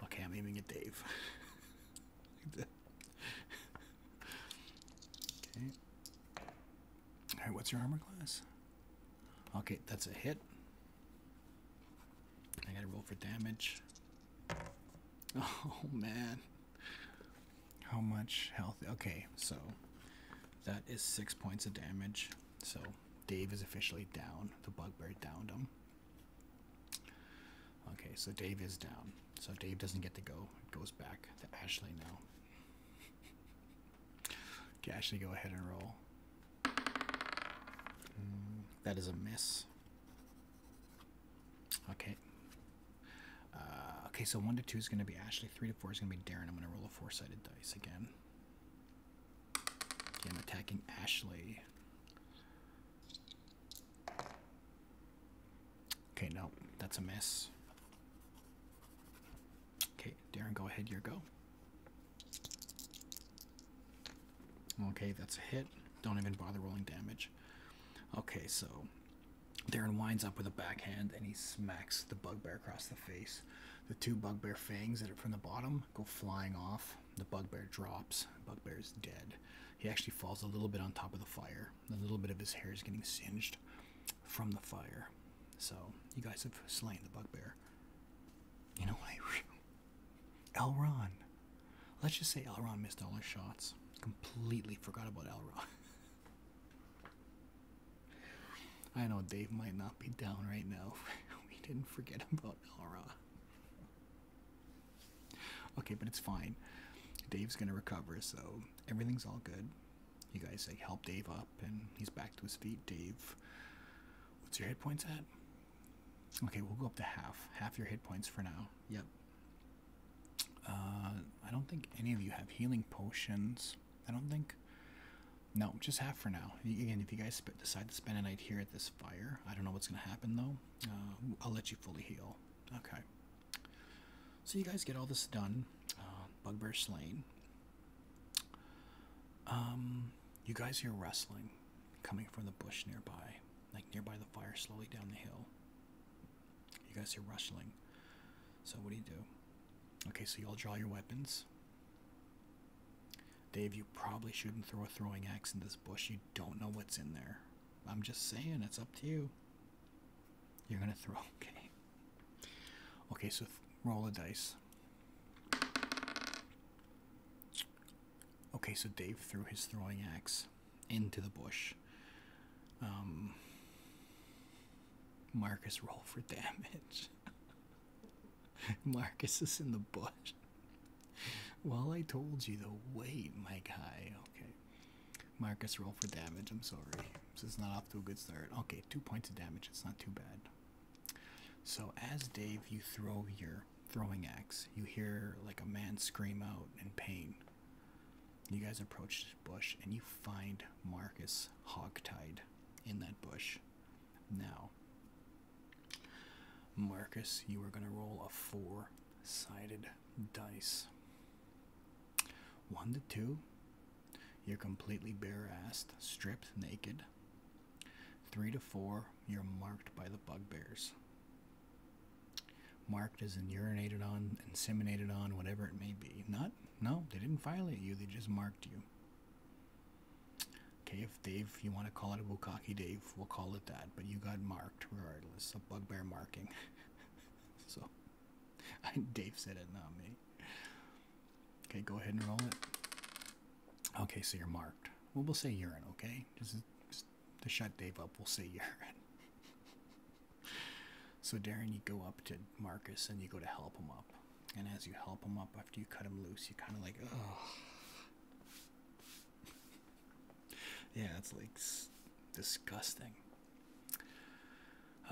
Okay, I'm aiming at Dave. okay. All right, what's your armor class? Okay, that's a hit. I gotta roll for damage. Oh man. How much health? Okay, so that is six points of damage. So Dave is officially down. The bugbear downed him. Okay, so Dave is down. So Dave doesn't get to go. It goes back to Ashley now. okay, Ashley, go ahead and roll. Mm, that is a miss. Okay. Uh, okay, so 1 to 2 is going to be Ashley. 3 to 4 is going to be Darren. I'm going to roll a four-sided dice again. Okay, I'm attacking Ashley. Okay, no, that's a miss. Okay, Darren, go ahead, your go. Okay, that's a hit. Don't even bother rolling damage. Okay, so Darren winds up with a backhand and he smacks the bugbear across the face. The two bugbear fangs that are from the bottom go flying off. The bugbear drops. Bugbear is dead. He actually falls a little bit on top of the fire. A little bit of his hair is getting singed from the fire. So, you guys have slain the bugbear. You know what? Elron. Let's just say Elron missed all his shots. Completely forgot about Elron. I know Dave might not be down right now. we didn't forget about Elron. Okay, but it's fine. Dave's gonna recover, so everything's all good. You guys like help Dave up, and he's back to his feet. Dave, what's your hit points at? Okay, we'll go up to half. Half your hit points for now. Yep. Uh, I don't think any of you have healing potions. I don't think. No, just half for now. Again, if you guys decide to spend a night here at this fire, I don't know what's going to happen though. Uh, I'll let you fully heal. Okay. So you guys get all this done. Uh, Bugbear slain. Um, you guys hear wrestling coming from the bush nearby, like nearby the fire, slowly down the hill. You guys hear rustling. So, what do you do? Okay, so you all draw your weapons. Dave, you probably shouldn't throw a throwing axe in this bush. You don't know what's in there. I'm just saying, it's up to you. You're gonna throw, okay. Okay, so roll a dice. Okay, so Dave threw his throwing axe into the bush. Um, Marcus roll for damage. Marcus is in the bush. Well, I told you to wait, my guy. Okay. Marcus roll for damage. I'm sorry. This is not off to a good start. Okay, two points of damage. It's not too bad. So as Dave, you throw your throwing axe, you hear like a man scream out in pain. You guys approach this bush and you find Marcus tied in that bush. Now, Marcus, you are going to roll a four sided dice. One to two, you're completely bare assed, stripped naked. Three to four, you're marked by the bugbears. Marked as in urinated on, inseminated on, whatever it may be. Not, no, they didn't violate you, they just marked you. Okay, if Dave, you want to call it a Bukaki Dave, we'll call it that. But you got marked regardless, a bugbear marking. so, Dave said it, not me. Okay, go ahead and roll it. Okay, so you're marked. Well, we'll say urine, okay? Just, just to shut Dave up, we'll say urine. so, Darren, you go up to Marcus and you go to help him up. And as you help him up, after you cut him loose, you kind of like, oh. yeah, it's like disgusting.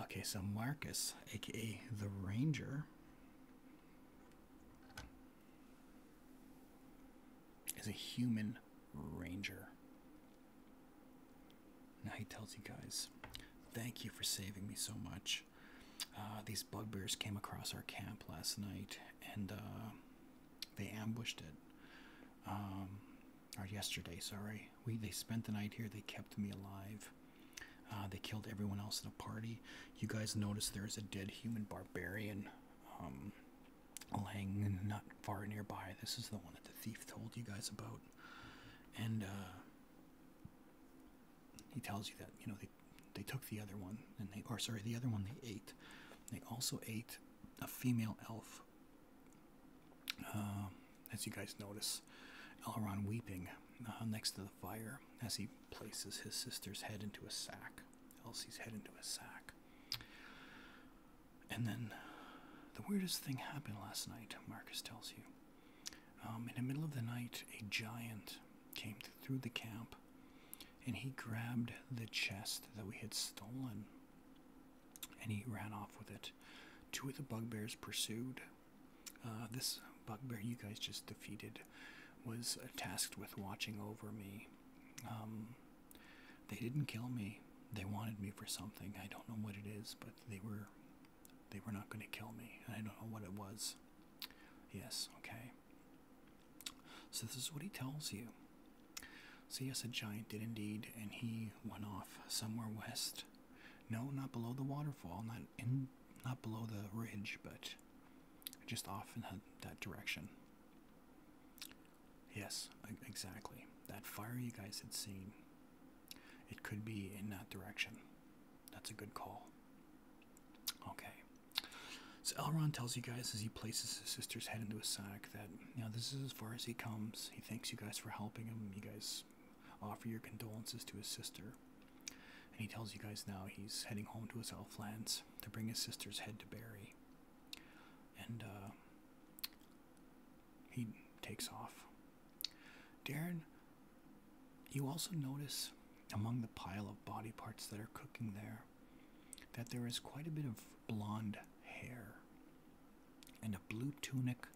Okay, so Marcus, aka the Ranger, as a human ranger. Now he tells you guys, thank you for saving me so much. Uh, these bugbears came across our camp last night and uh, they ambushed it. Um, or yesterday, sorry. We they spent the night here. They kept me alive. Uh, they killed everyone else in the party. You guys notice there is a dead human barbarian um, laying not far nearby. This is the one that the thief told you guys about, and uh, he tells you that you know they they took the other one, and they or sorry the other one they ate. They also ate a female elf. Uh, as you guys notice, Elrond weeping uh, next to the fire as he places his sister's head into a sack, Elsie's head into a sack. And then the weirdest thing happened last night, Marcus tells you. Um, in the middle of the night, a giant came through the camp and he grabbed the chest that we had stolen and he ran off with it. Two of the bugbears pursued. Uh, this bugbear you guys just defeated was tasked with watching over me um, they didn't kill me. They wanted me for something. I don't know what it is, but they were they were not going to kill me. I don't know what it was. Yes, okay. So this is what he tells you. See, yes, a giant did indeed, and he went off somewhere west. No, not below the waterfall, not in, not below the ridge, but just off in that direction. Yes, exactly. That fire you guys had seen, it could be in that direction. That's a good call. Okay. So Elrond tells you guys as he places his sister's head into a sack that, you this is as far as he comes. He thanks you guys for helping him. You guys offer your condolences to his sister. And he tells you guys now he's heading home to his elf lands to bring his sister's head to bury, And uh, he takes off. Darren, you also notice among the pile of body parts that are cooking there that there is quite a bit of blonde hair and a blue tunic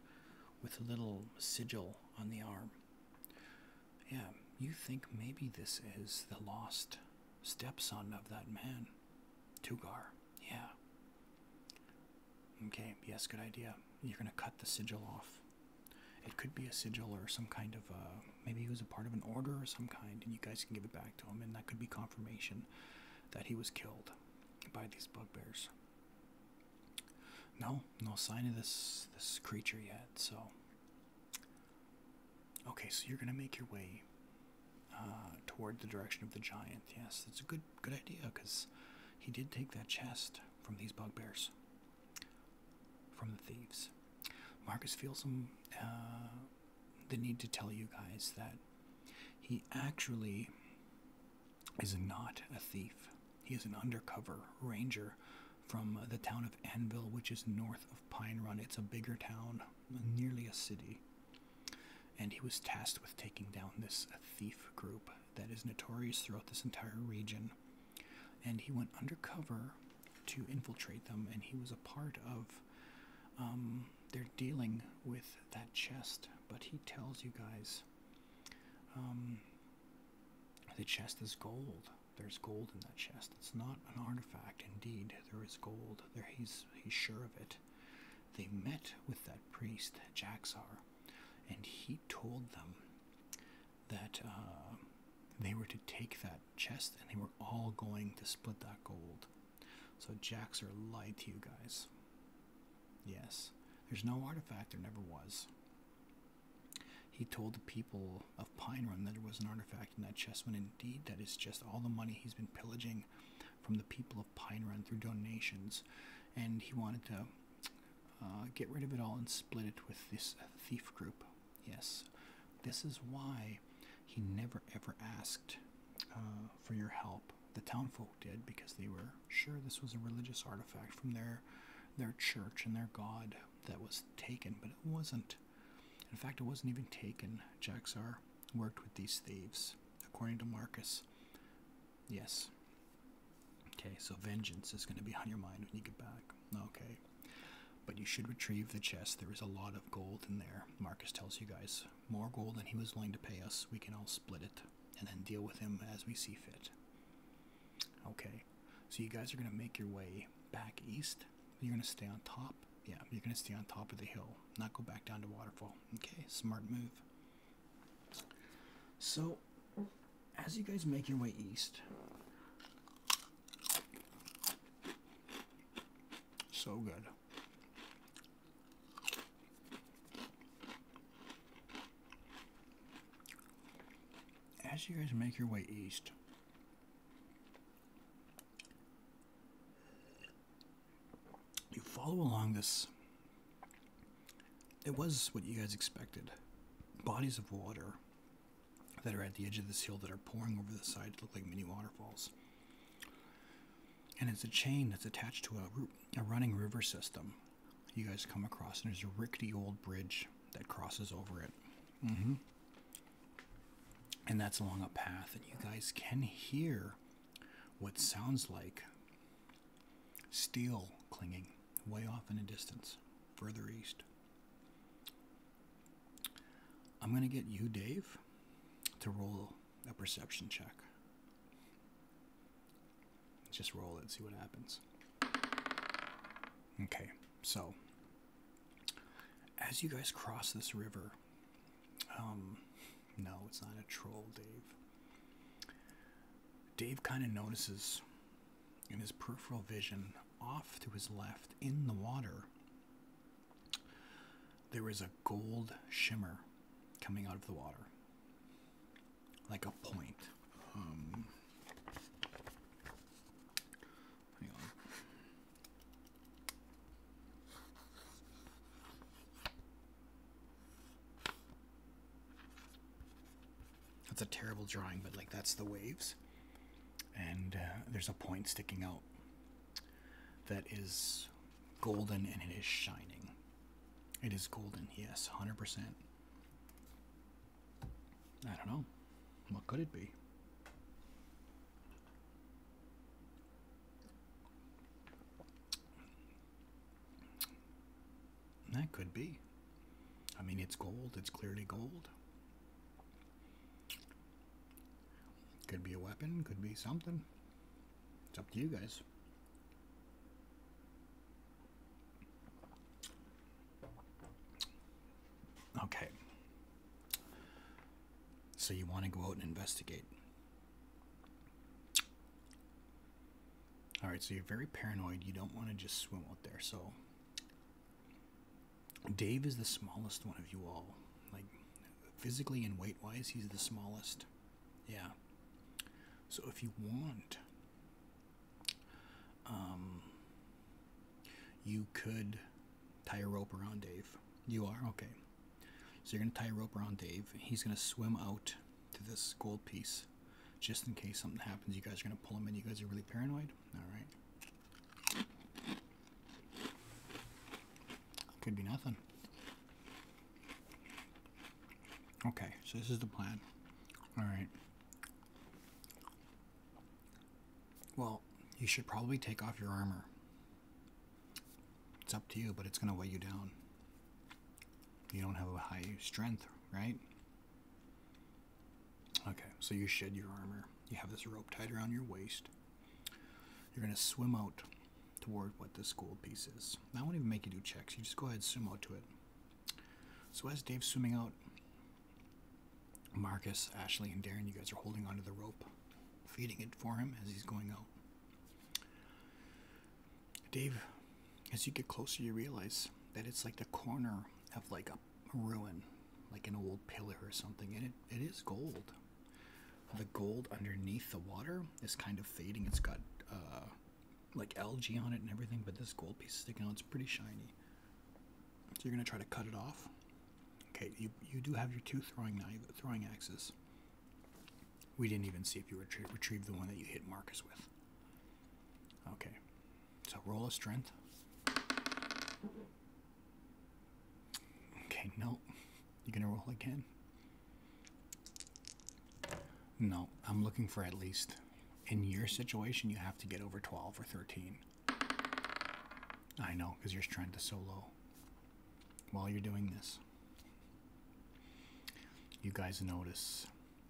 with a little sigil on the arm. Yeah, you think maybe this is the lost stepson of that man, Tugar. Yeah. Okay, yes, good idea. You're going to cut the sigil off. It could be a sigil or some kind of, uh, maybe he was a part of an order or some kind, and you guys can give it back to him, and that could be confirmation that he was killed by these bugbears. No, no sign of this this creature yet, so Okay, so you're gonna make your way uh, toward the direction of the giant. Yes, that's a good good idea because he did take that chest from these bugbears, from the thieves. Marcus feels him, uh, the need to tell you guys that he actually is not a thief. He is an undercover ranger from the town of Anvil, which is north of Pine Run. It's a bigger town, nearly a city. And he was tasked with taking down this thief group that is notorious throughout this entire region. And he went undercover to infiltrate them, and he was a part of um, their dealing with that chest. But he tells you guys um, the chest is gold. There's gold in that chest. It's not an artifact. Indeed, there is gold. There he's he's sure of it. They met with that priest, Jaxar, and he told them that uh, they were to take that chest and they were all going to split that gold. So Jaxar lied to you guys. Yes. There's no artifact, there never was. He told the people of Pine Run that there was an artifact in that chest, when indeed that is just all the money he's been pillaging from the people of Pine Run through donations, and he wanted to uh, get rid of it all and split it with this uh, thief group. Yes, this is why he never ever asked uh, for your help. The townfolk did because they were sure this was a religious artifact from their their church and their god that was taken, but it wasn't. In fact, it wasn't even taken. Jaxar worked with these thieves, according to Marcus. Yes. Okay, so vengeance is going to be on your mind when you get back. Okay. But you should retrieve the chest. There is a lot of gold in there. Marcus tells you guys more gold than he was willing to pay us. We can all split it and then deal with him as we see fit. Okay, so you guys are going to make your way back east you're going to stay on top. Yeah, you're going to stay on top of the hill, not go back down to waterfall. Okay, smart move. So, as you guys make your way east, so good. As you guys make your way east, you follow along this. It was what you guys expected. Bodies of water that are at the edge of this hill that are pouring over the side look like mini waterfalls. And it's a chain that's attached to a running river system you guys come across, and there's a rickety old bridge that crosses over it. Mm -hmm. And that's along a path, and you guys can hear what sounds like steel clinging way off in the distance, further east. I'm going to get you, Dave, to roll a perception check. Just roll it, see what happens. Okay, so as you guys cross this river, um, no, it's not a troll, Dave. Dave kind of notices in his peripheral vision, off to his left in the water, there is a gold shimmer coming out of the water, like a point. Um, Hang on. That's a terrible drawing, but like that's the waves. And uh, there's a point sticking out that is golden and it is shining. It is golden, yes, 100%. I don't know. What could it be? That could be. I mean, it's gold. It's clearly gold. Could be a weapon. Could be something. It's up to you guys. Okay. So you want to go out and investigate. All right, so you're very paranoid. You don't want to just swim out there. So Dave is the smallest one of you all. Like physically and weight wise, he's the smallest. Yeah. So if you want, um, you could Tie a rope around Dave. You are? Okay. So you're going to tie a rope around Dave. He's going to swim out to this gold piece just in case something happens. You guys are going to pull him in. You guys are really paranoid. All right. Could be nothing. Okay, so this is the plan. All right. Well, you should probably take off your armor. It's up to you, but it's going to weigh you down. You don't have a high strength, right? Okay, so you shed your armor. You have this rope tied around your waist. You're going to swim out toward what this gold piece is. I won't even make you do checks. You just go ahead and swim out to it. So as Dave's swimming out, Marcus, Ashley, and Darren, you guys are holding onto the rope, feeding it for him as he's going out. Dave, as you get closer, you realize that it's like the corner of like a ruin, like an old pillar or something, and it, it is gold. The gold underneath the water is kind of fading. It's got uh, like algae on it and everything, but this gold piece sticking out, it's pretty shiny. So you're going to try to cut it off. Okay, you, you do have your two throwing knives, throwing axes. We didn't even see if you retrie retrieved the one that you hit Marcus with. Okay, so roll a strength. Okay, no. You're going to roll again? No, I'm looking for at least in your situation, you have to get over 12 or 13. I know, because you're trying to solo while you're doing this. You guys notice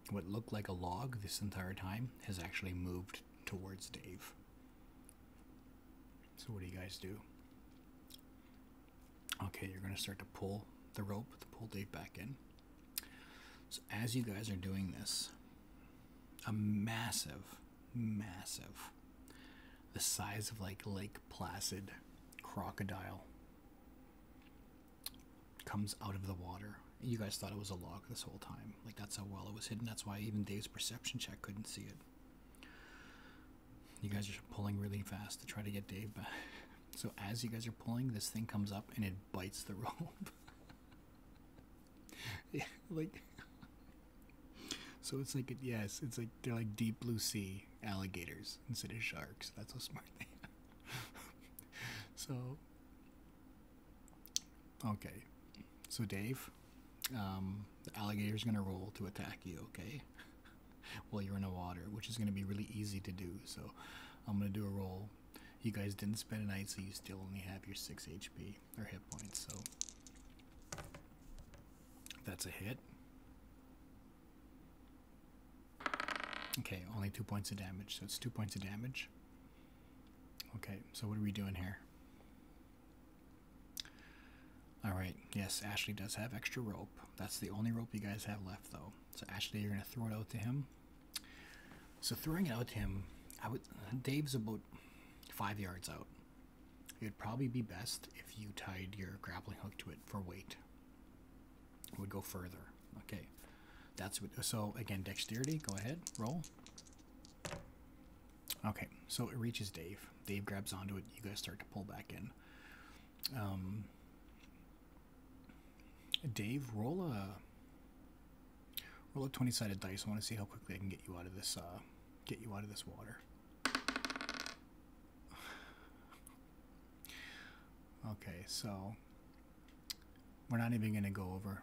what looked like a log this entire time has actually moved towards Dave. So, what do you guys do? Okay, you're going to start to pull the rope to pull Dave back in. So, as you guys are doing this, a massive massive. The size of like Lake Placid crocodile comes out of the water. You guys thought it was a log this whole time. Like that's how well it was hidden. That's why even Dave's perception check couldn't see it. You guys are pulling really fast to try to get Dave back. So as you guys are pulling, this thing comes up and it bites the rope. yeah, like so it's like, yes, it's like they're like deep blue sea alligators instead of sharks. That's how smart they are. so, okay. So, Dave, um, the alligator's going to roll to attack you, okay? While you're in the water, which is going to be really easy to do. So, I'm going to do a roll. You guys didn't spend a night, so you still only have your 6 HP or hit points, so that's a hit. Okay, only two points of damage, so it's two points of damage. Okay, so what are we doing here? Alright, yes, Ashley does have extra rope. That's the only rope you guys have left, though. So, Ashley, you're going to throw it out to him. So, throwing it out to him, I would. Dave's about five yards out it would probably be best if you tied your grappling hook to it for weight. It would go further. Okay. That's what, so again, dexterity, go ahead, roll. Okay, so it reaches Dave. Dave grabs onto it. You guys start to pull back in. Um, Dave, roll a roll a twenty sided dice. I want to see how quickly I can get you out of this uh, get you out of this water. Okay, so we're not even going to go over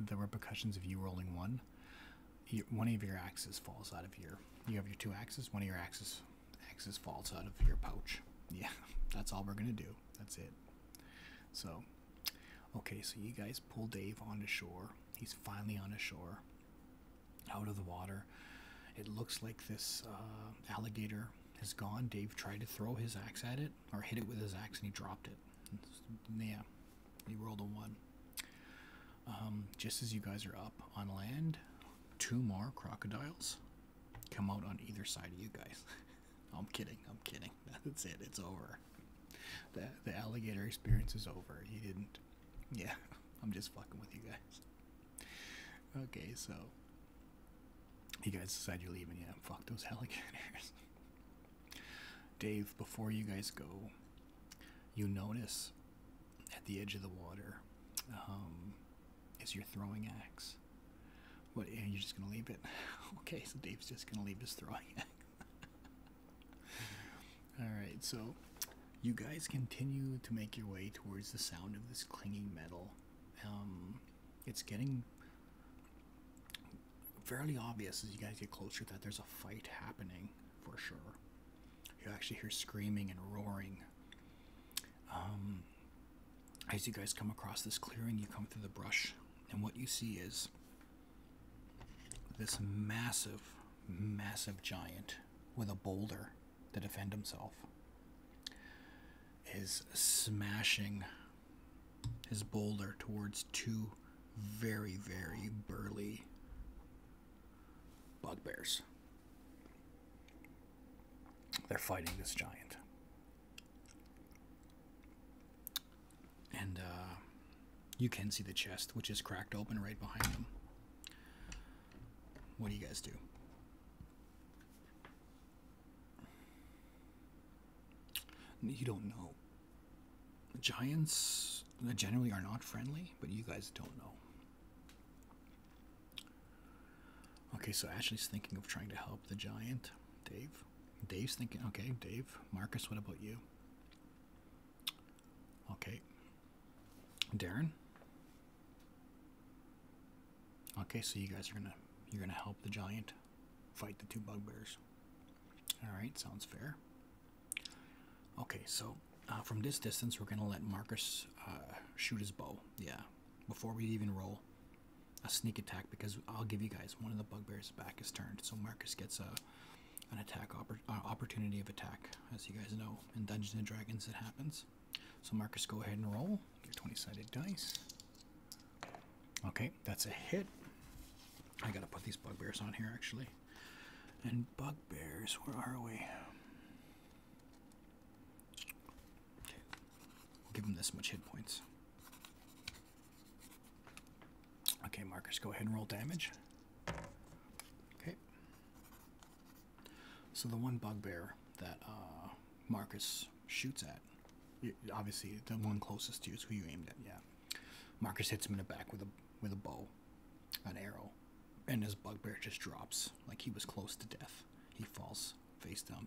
the repercussions of you rolling one. one of your axes falls out of your. You have your two axes. One of your axes axes falls out of your pouch. Yeah, that's all we're gonna do. That's it. So, okay, so you guys pull Dave onto shore. He's finally on a shore out of the water. It looks like this uh, alligator has gone. Dave tried to throw his axe at it or hit it with his axe and he dropped it. yeah, he rolled a one. Um, just as you guys are up on land, two more crocodiles come out on either side of you guys. I'm kidding. I'm kidding. That's it. It's over. The, the alligator experience is over. He didn't yeah, I'm just fucking with you guys. Okay, so you guys decide you're leaving. Yeah, fuck those alligators. Dave, before you guys go, you notice at the edge of the water um, is your throwing axe. What? And you're just gonna leave it? Okay, so Dave's just gonna leave his throwing axe. Alright, so you guys continue to make your way towards the sound of this clinging metal. Um, it's getting fairly obvious as you guys get closer that there's a fight happening for sure. You actually hear screaming and roaring. Um, as you guys come across this clearing, you come through the brush, and what you see is this massive massive giant with a boulder to defend himself is smashing his boulder towards two very, very burly bugbears. They're fighting this giant. And uh, you can see the chest, which is cracked open right behind them. What do you guys do? You don't know. Giants uh, generally are not friendly, but you guys don't know. Okay, so Ashley's thinking of trying to help the giant. Dave? Dave's thinking, okay, Dave. Marcus, what about you? Okay. Darren. Okay, so you guys are gonna you're gonna help the giant fight the two bugbears. Alright, sounds fair. Okay, so uh, from this distance, we're going to let Marcus uh, shoot his bow. Yeah, before we even roll a sneak attack, because I'll give you guys one of the bugbears' back is turned. So Marcus gets a an attack uh, opportunity of attack. As you guys know, in Dungeons and Dragons, it happens. So, Marcus, go ahead and roll your 20 sided dice. Okay, that's a hit. I gotta put these bugbears on here actually. And bugbears, where are we? give them this much hit points. Okay, Marcus, go ahead and roll damage. Okay, so the one bugbear that uh, Marcus shoots at, obviously the one closest to you is who you aimed at. Yeah, Marcus hits him in the back with a with a bow, an arrow, and his bugbear just drops like he was close to death. He falls face down,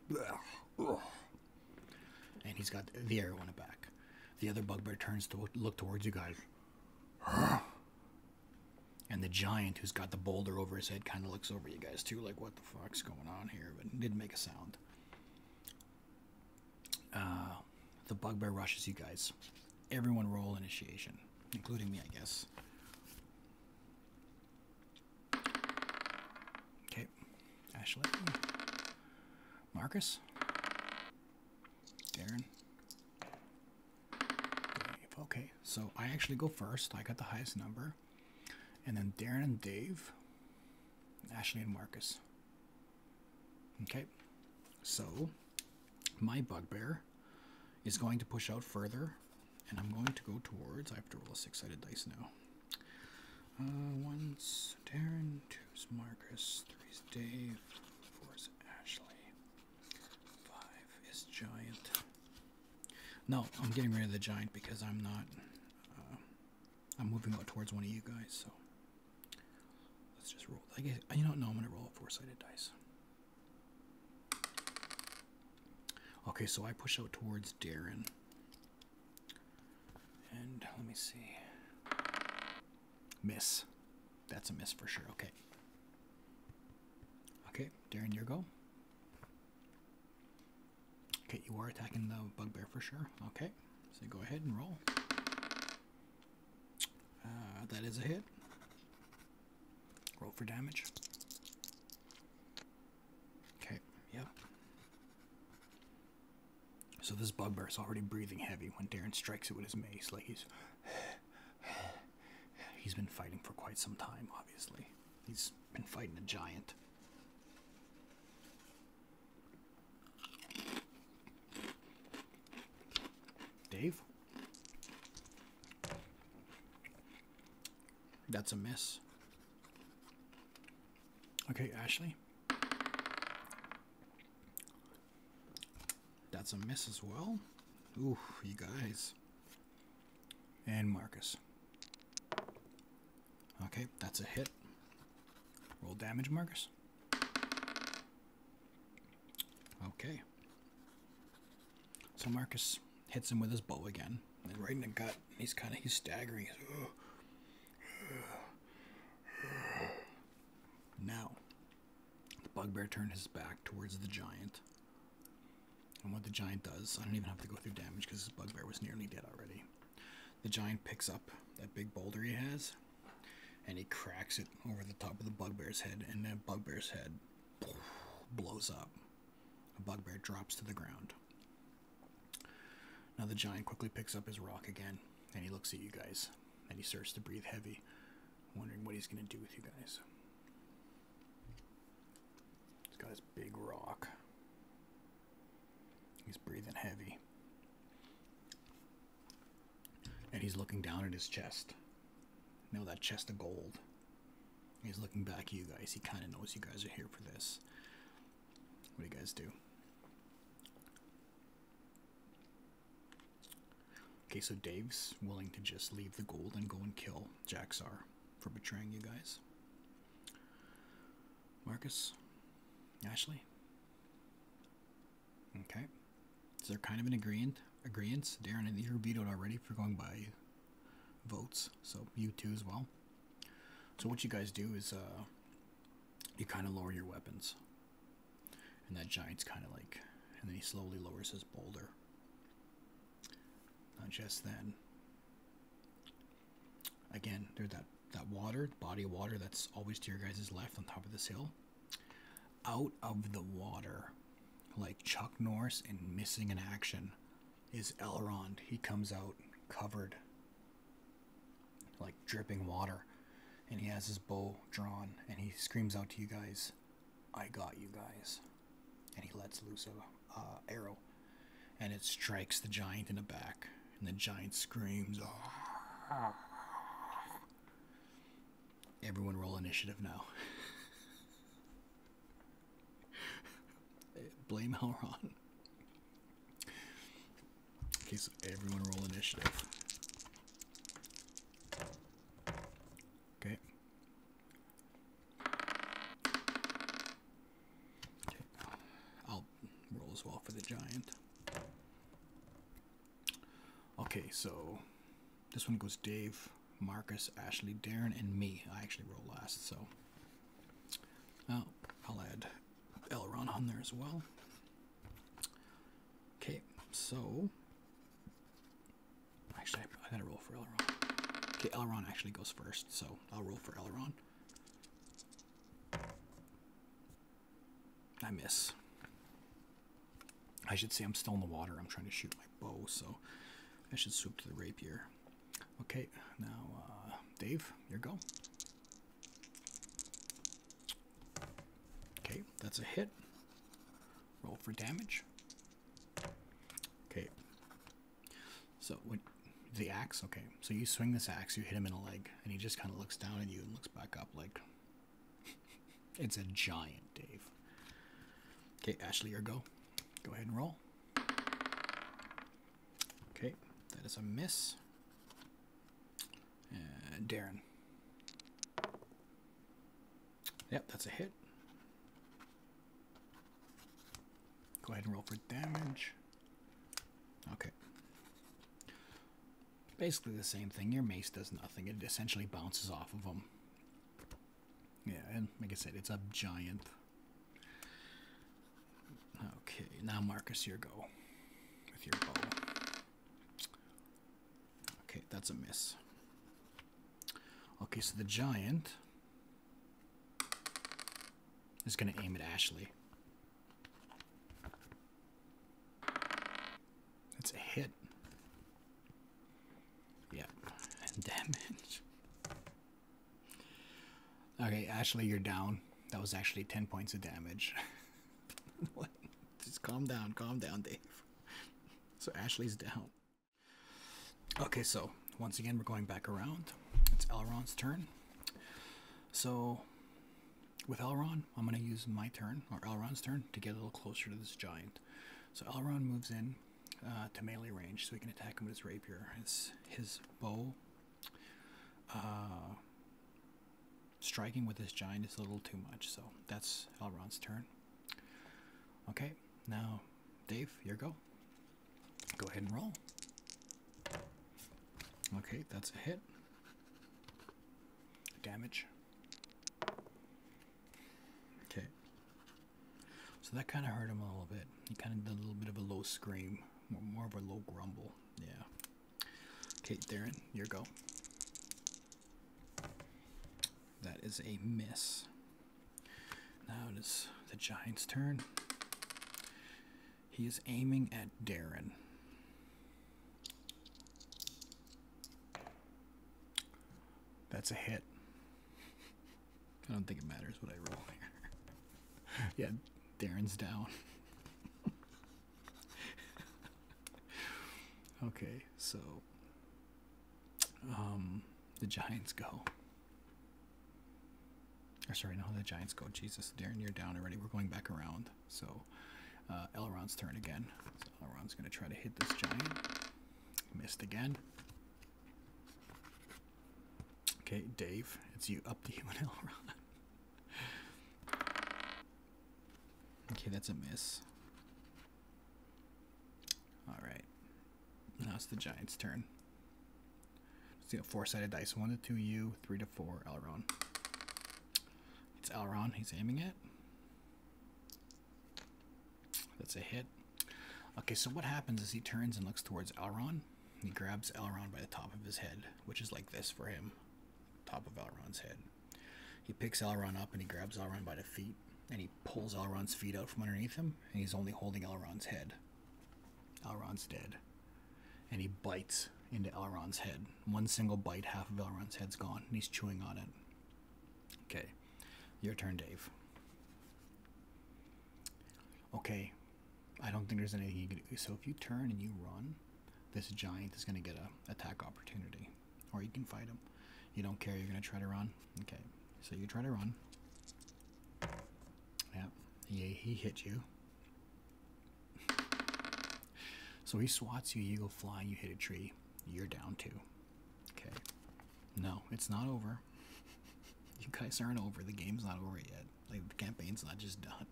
and he's got the arrow in the back. The other bugbear turns to look towards you guys. And the giant who's got the boulder over his head kind of looks over you guys too, like, what the fuck's going on here? But didn't make a sound. Uh, the bugbear rushes you guys. Everyone roll initiation, including me, I guess. Okay, Ashley. Marcus. Darren. Dave. Okay, so I actually go first. I got the highest number. And then Darren and Dave. Ashley and Marcus. Okay, so my bugbear is going to push out further. And I'm going to go towards. I have to roll a six sided dice now. Uh, one's Darren, two's Marcus, three's Dave, four's Ashley. Five is giant. No, I'm getting rid of the giant because I'm not. Uh, I'm moving out towards one of you guys, so let's just roll. I guess you don't know. I'm gonna roll a four-sided dice. Okay, so I push out towards Darren. And let me see. Miss. That's a miss for sure. Okay. Okay, Darren, your go. Okay, you are attacking the bugbear for sure. Okay, so go ahead and roll. Uh, that is a hit. Roll for damage. Okay, yep. So this bugbear is already breathing heavy when Darren strikes it with his mace, like he's He's been fighting for quite some time, obviously. He's been fighting a giant. Dave? That's a miss. Okay, Ashley. That's a miss as well. Ooh, you guys. And Marcus. Okay, that's a hit. Roll damage, Marcus. Okay. So Marcus hits him with his bow again, and right in the gut. He's kind of he's staggering. now, the bugbear turned his back towards the giant. And what the giant does, I don't even have to go through damage because the bugbear was nearly dead already. The giant picks up that big boulder he has and he cracks it over the top of the bugbear's head, and the bugbear's head blows up. The bugbear drops to the ground. Now the giant quickly picks up his rock again, and he looks at you guys, and he starts to breathe heavy. Wondering what he's going to do with you guys. He's got his big rock. He's breathing heavy. And he's looking down at his chest. You know that chest of gold. He's looking back at you guys. He kind of knows you guys are here for this. What do you guys do? Okay, so Dave's willing to just leave the gold and go and kill Jaxar for betraying you guys. Marcus? Ashley? Okay. So they're kind of an agreement. Agreements. Darren and you were vetoed already for going by votes, so you too as well. So what you guys do is uh, you kind of lower your weapons. And that giant's kind of like, and then he slowly lowers his boulder. Not just then. Again, there's that, that water, body of water that's always to your guys' left on top of this hill. Out of the water, like Chuck Norris in Missing in Action, is Elrond. He comes out covered, like dripping water, and he has his bow drawn, and he screams out to you guys. I got you guys. And he lets loose a arrow, and it strikes the giant in the back, and the giant screams. Oh. Everyone roll initiative now. Blame Elron. Okay, so everyone roll initiative. Okay. Okay. I'll roll as well for the giant. Okay, so this one goes Dave, Marcus, Ashley, Darren, and me. I actually roll last, so oh, I'll add Elron on there as well. Okay, so Actually, I gotta roll for Elrond. Okay, Elrond actually goes first, so I'll roll for Elrond. I miss. I should say I'm still in the water. I'm trying to shoot my bow, so I should swoop to the rapier. Okay, now, uh, Dave, your go. Okay, that's a hit. Roll for damage. Okay. So what the axe, okay. So you swing this axe, you hit him in a leg, and he just kind of looks down at you and looks back up like it's a giant, Dave. Okay, Ashley, your go. Go ahead and roll. Okay, that is a miss. And uh, Darren. Yep, that's a hit. Go ahead and roll for damage. Okay. Basically the same thing. Your mace does nothing. It essentially bounces off of them. Yeah, and like I said, it's a giant. Okay, now Marcus, your go Okay, that's a miss. Okay, so the giant is going to aim at Ashley. That's a hit. Yep, and damage. Okay, Ashley, you're down. That was actually 10 points of damage. Just calm down, calm down, Dave. So Ashley's down. Okay, so once again, we're going back around. It's Elrond's turn. So with Elrond, I'm going to use my turn, or Elrond's turn, to get a little closer to this giant. So Elrond moves in uh, to melee range, so he can attack him with his rapier. His, his bow uh, striking with this giant is a little too much, so that's Elrond's turn. Okay, now, Dave, your go. Go ahead and roll. Okay, that's a hit. Damage. Okay. So that kind of hurt him a little bit. He kind of did a little bit of a low scream, more, of a low grumble. Yeah. Okay, Darren, your go. That is a miss. Now it is the Giants' turn. He is aiming at Darren. That's a hit. I don't think it matters what I roll here. yeah, Darren's down. okay, so um, the Giants go. Or sorry, no, the Giants go. Jesus, Darren, you're down already. We're going back around. So uh, Elrond's turn again. So Elrond's going to try to hit this Giant. Missed again. Okay, Dave, it's you. Up the you Elrond. Okay, that's a miss. All right. Now it's the Giants' turn. Let's see a four-sided dice. One to two you. three to four Elron. It's Elron. He's aiming it. That's a hit. Okay, so what happens is he turns and looks towards Elron. He grabs Elron by the top of his head, which is like this for him, top of Elron's head. He picks Elrond up and he grabs Elrond by the feet and he pulls Elrond's feet out from underneath him and he's only holding Elrond's head. Elrond's dead. And he bites into Elrond's head. One single bite, half of Elrond's head's gone and he's chewing on it. Okay, your turn, Dave. Okay, I don't think there's anything you can do. So if you turn and you run, this giant is going to get a attack opportunity or you can fight him. You don't care. You're gonna try to run. Okay, so you try to run. Yeah, he he hit you. So he swats you. You go flying. You hit a tree. You're down too. Okay. No, it's not over. you guys aren't over. The game's not over yet. Like the campaign's not just done.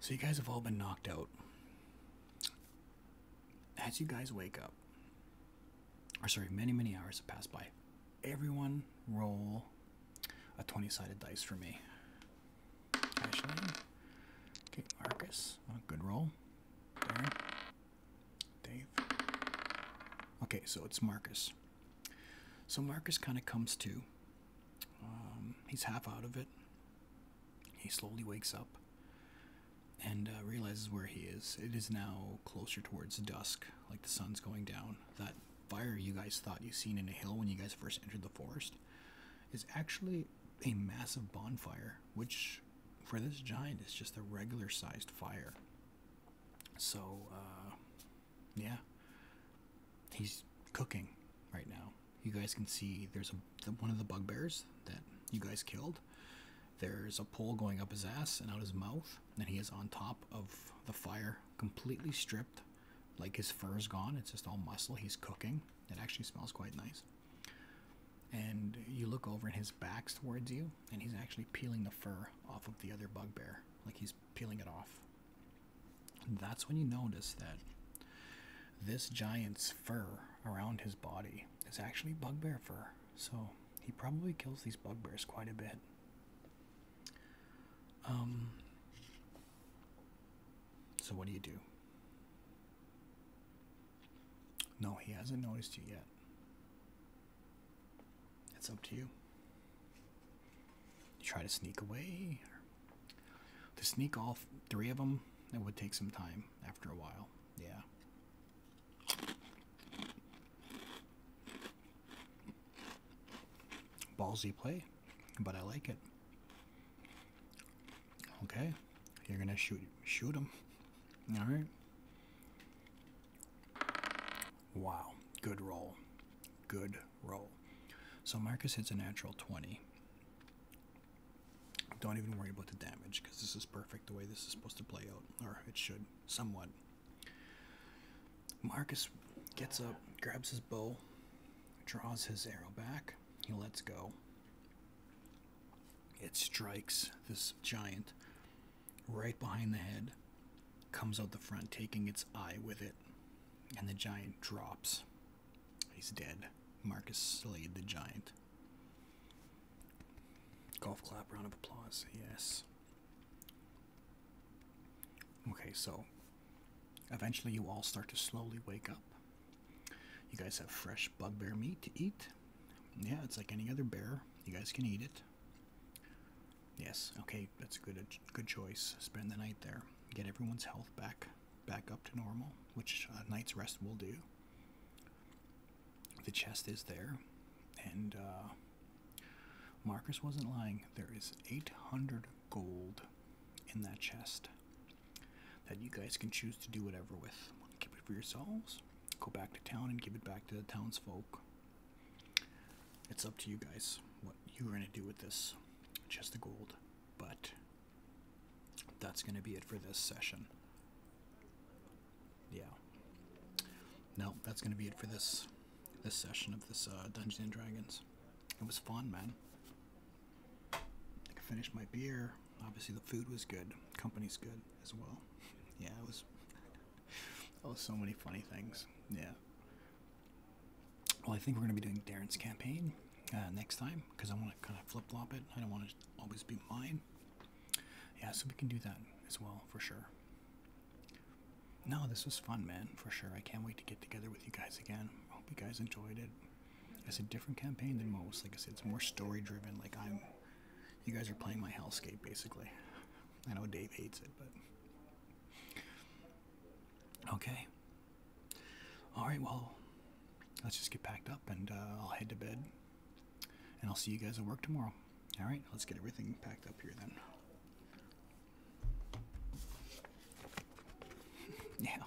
So you guys have all been knocked out. As you guys wake up, or sorry, many, many hours have passed by. Everyone roll a 20 sided dice for me. Okay, Marcus, good roll. Dave. Okay, so it's Marcus. So Marcus kind of comes to. Um, he's half out of it. He slowly wakes up and uh, realizes where he is. It is now closer towards dusk, like the sun's going down. That fire you guys thought you seen in a hill when you guys first entered the forest is actually a massive bonfire, which for this giant is just a regular sized fire. So, uh, yeah, he's cooking right now. You guys can see there's one of the bugbears that you guys killed there's a pole going up his ass and out his mouth, and he is on top of the fire, completely stripped, like his fur is gone. It's just all muscle. He's cooking. It actually smells quite nice. And you look over, and his back's towards you, and he's actually peeling the fur off of the other bugbear, like he's peeling it off. that's when you notice that this giant's fur around his body is actually bugbear fur, so he probably kills these bugbears quite a bit. Um, so, what do you do? No, he hasn't noticed you yet. It's up to you. You try to sneak away. To sneak all three of them, it would take some time after a while. Yeah. Ballsy play, but I like it. Okay, you're gonna shoot shoot him. All right. Wow, good roll, good roll. So Marcus hits a natural twenty. Don't even worry about the damage because this is perfect the way this is supposed to play out, or it should, somewhat. Marcus gets up, grabs his bow, draws his arrow back, he lets go. It strikes this giant right behind the head, comes out the front, taking its eye with it, and the giant drops. He's dead. Marcus slayed the giant. Golf clap, round of applause, yes. Okay, so eventually you all start to slowly wake up. You guys have fresh bugbear meat to eat. Yeah, it's like any other bear. You guys can eat it. Yes, okay, that's a good good choice. Spend the night there. Get everyone's health back back up to normal, which a night's rest will do the chest is there, and uh, Marcus wasn't lying. There is 800 gold in that chest that you guys can choose to do whatever with. Keep it for yourselves, go back to town, and give it back to the townsfolk. It's up to you guys what you're going to do with this chest of gold, but that's going to be it for this session yeah. No, that's gonna be it for this this session of this uh, Dungeons and Dragons. It was fun, man. I finished my beer. Obviously, the food was good. Company's good as well. Yeah, it was. oh, so many funny things. Yeah. Well, I think we're gonna be doing Darren's campaign uh, next time because I want to kind of flip flop it. I don't want to always be mine yeah, so we can do that as well for sure. No, this was fun, man, for sure. I can't wait to get together with you guys again. hope you guys enjoyed it. It's a different campaign than most. Like I said, it's more story driven. Like I'm, you guys are playing my hellscape basically. I know Dave hates it, but okay. All right, well, let's just get packed up and uh, I'll head to bed. And I'll see you guys at work tomorrow. All right, let's get everything packed up here then. yeah.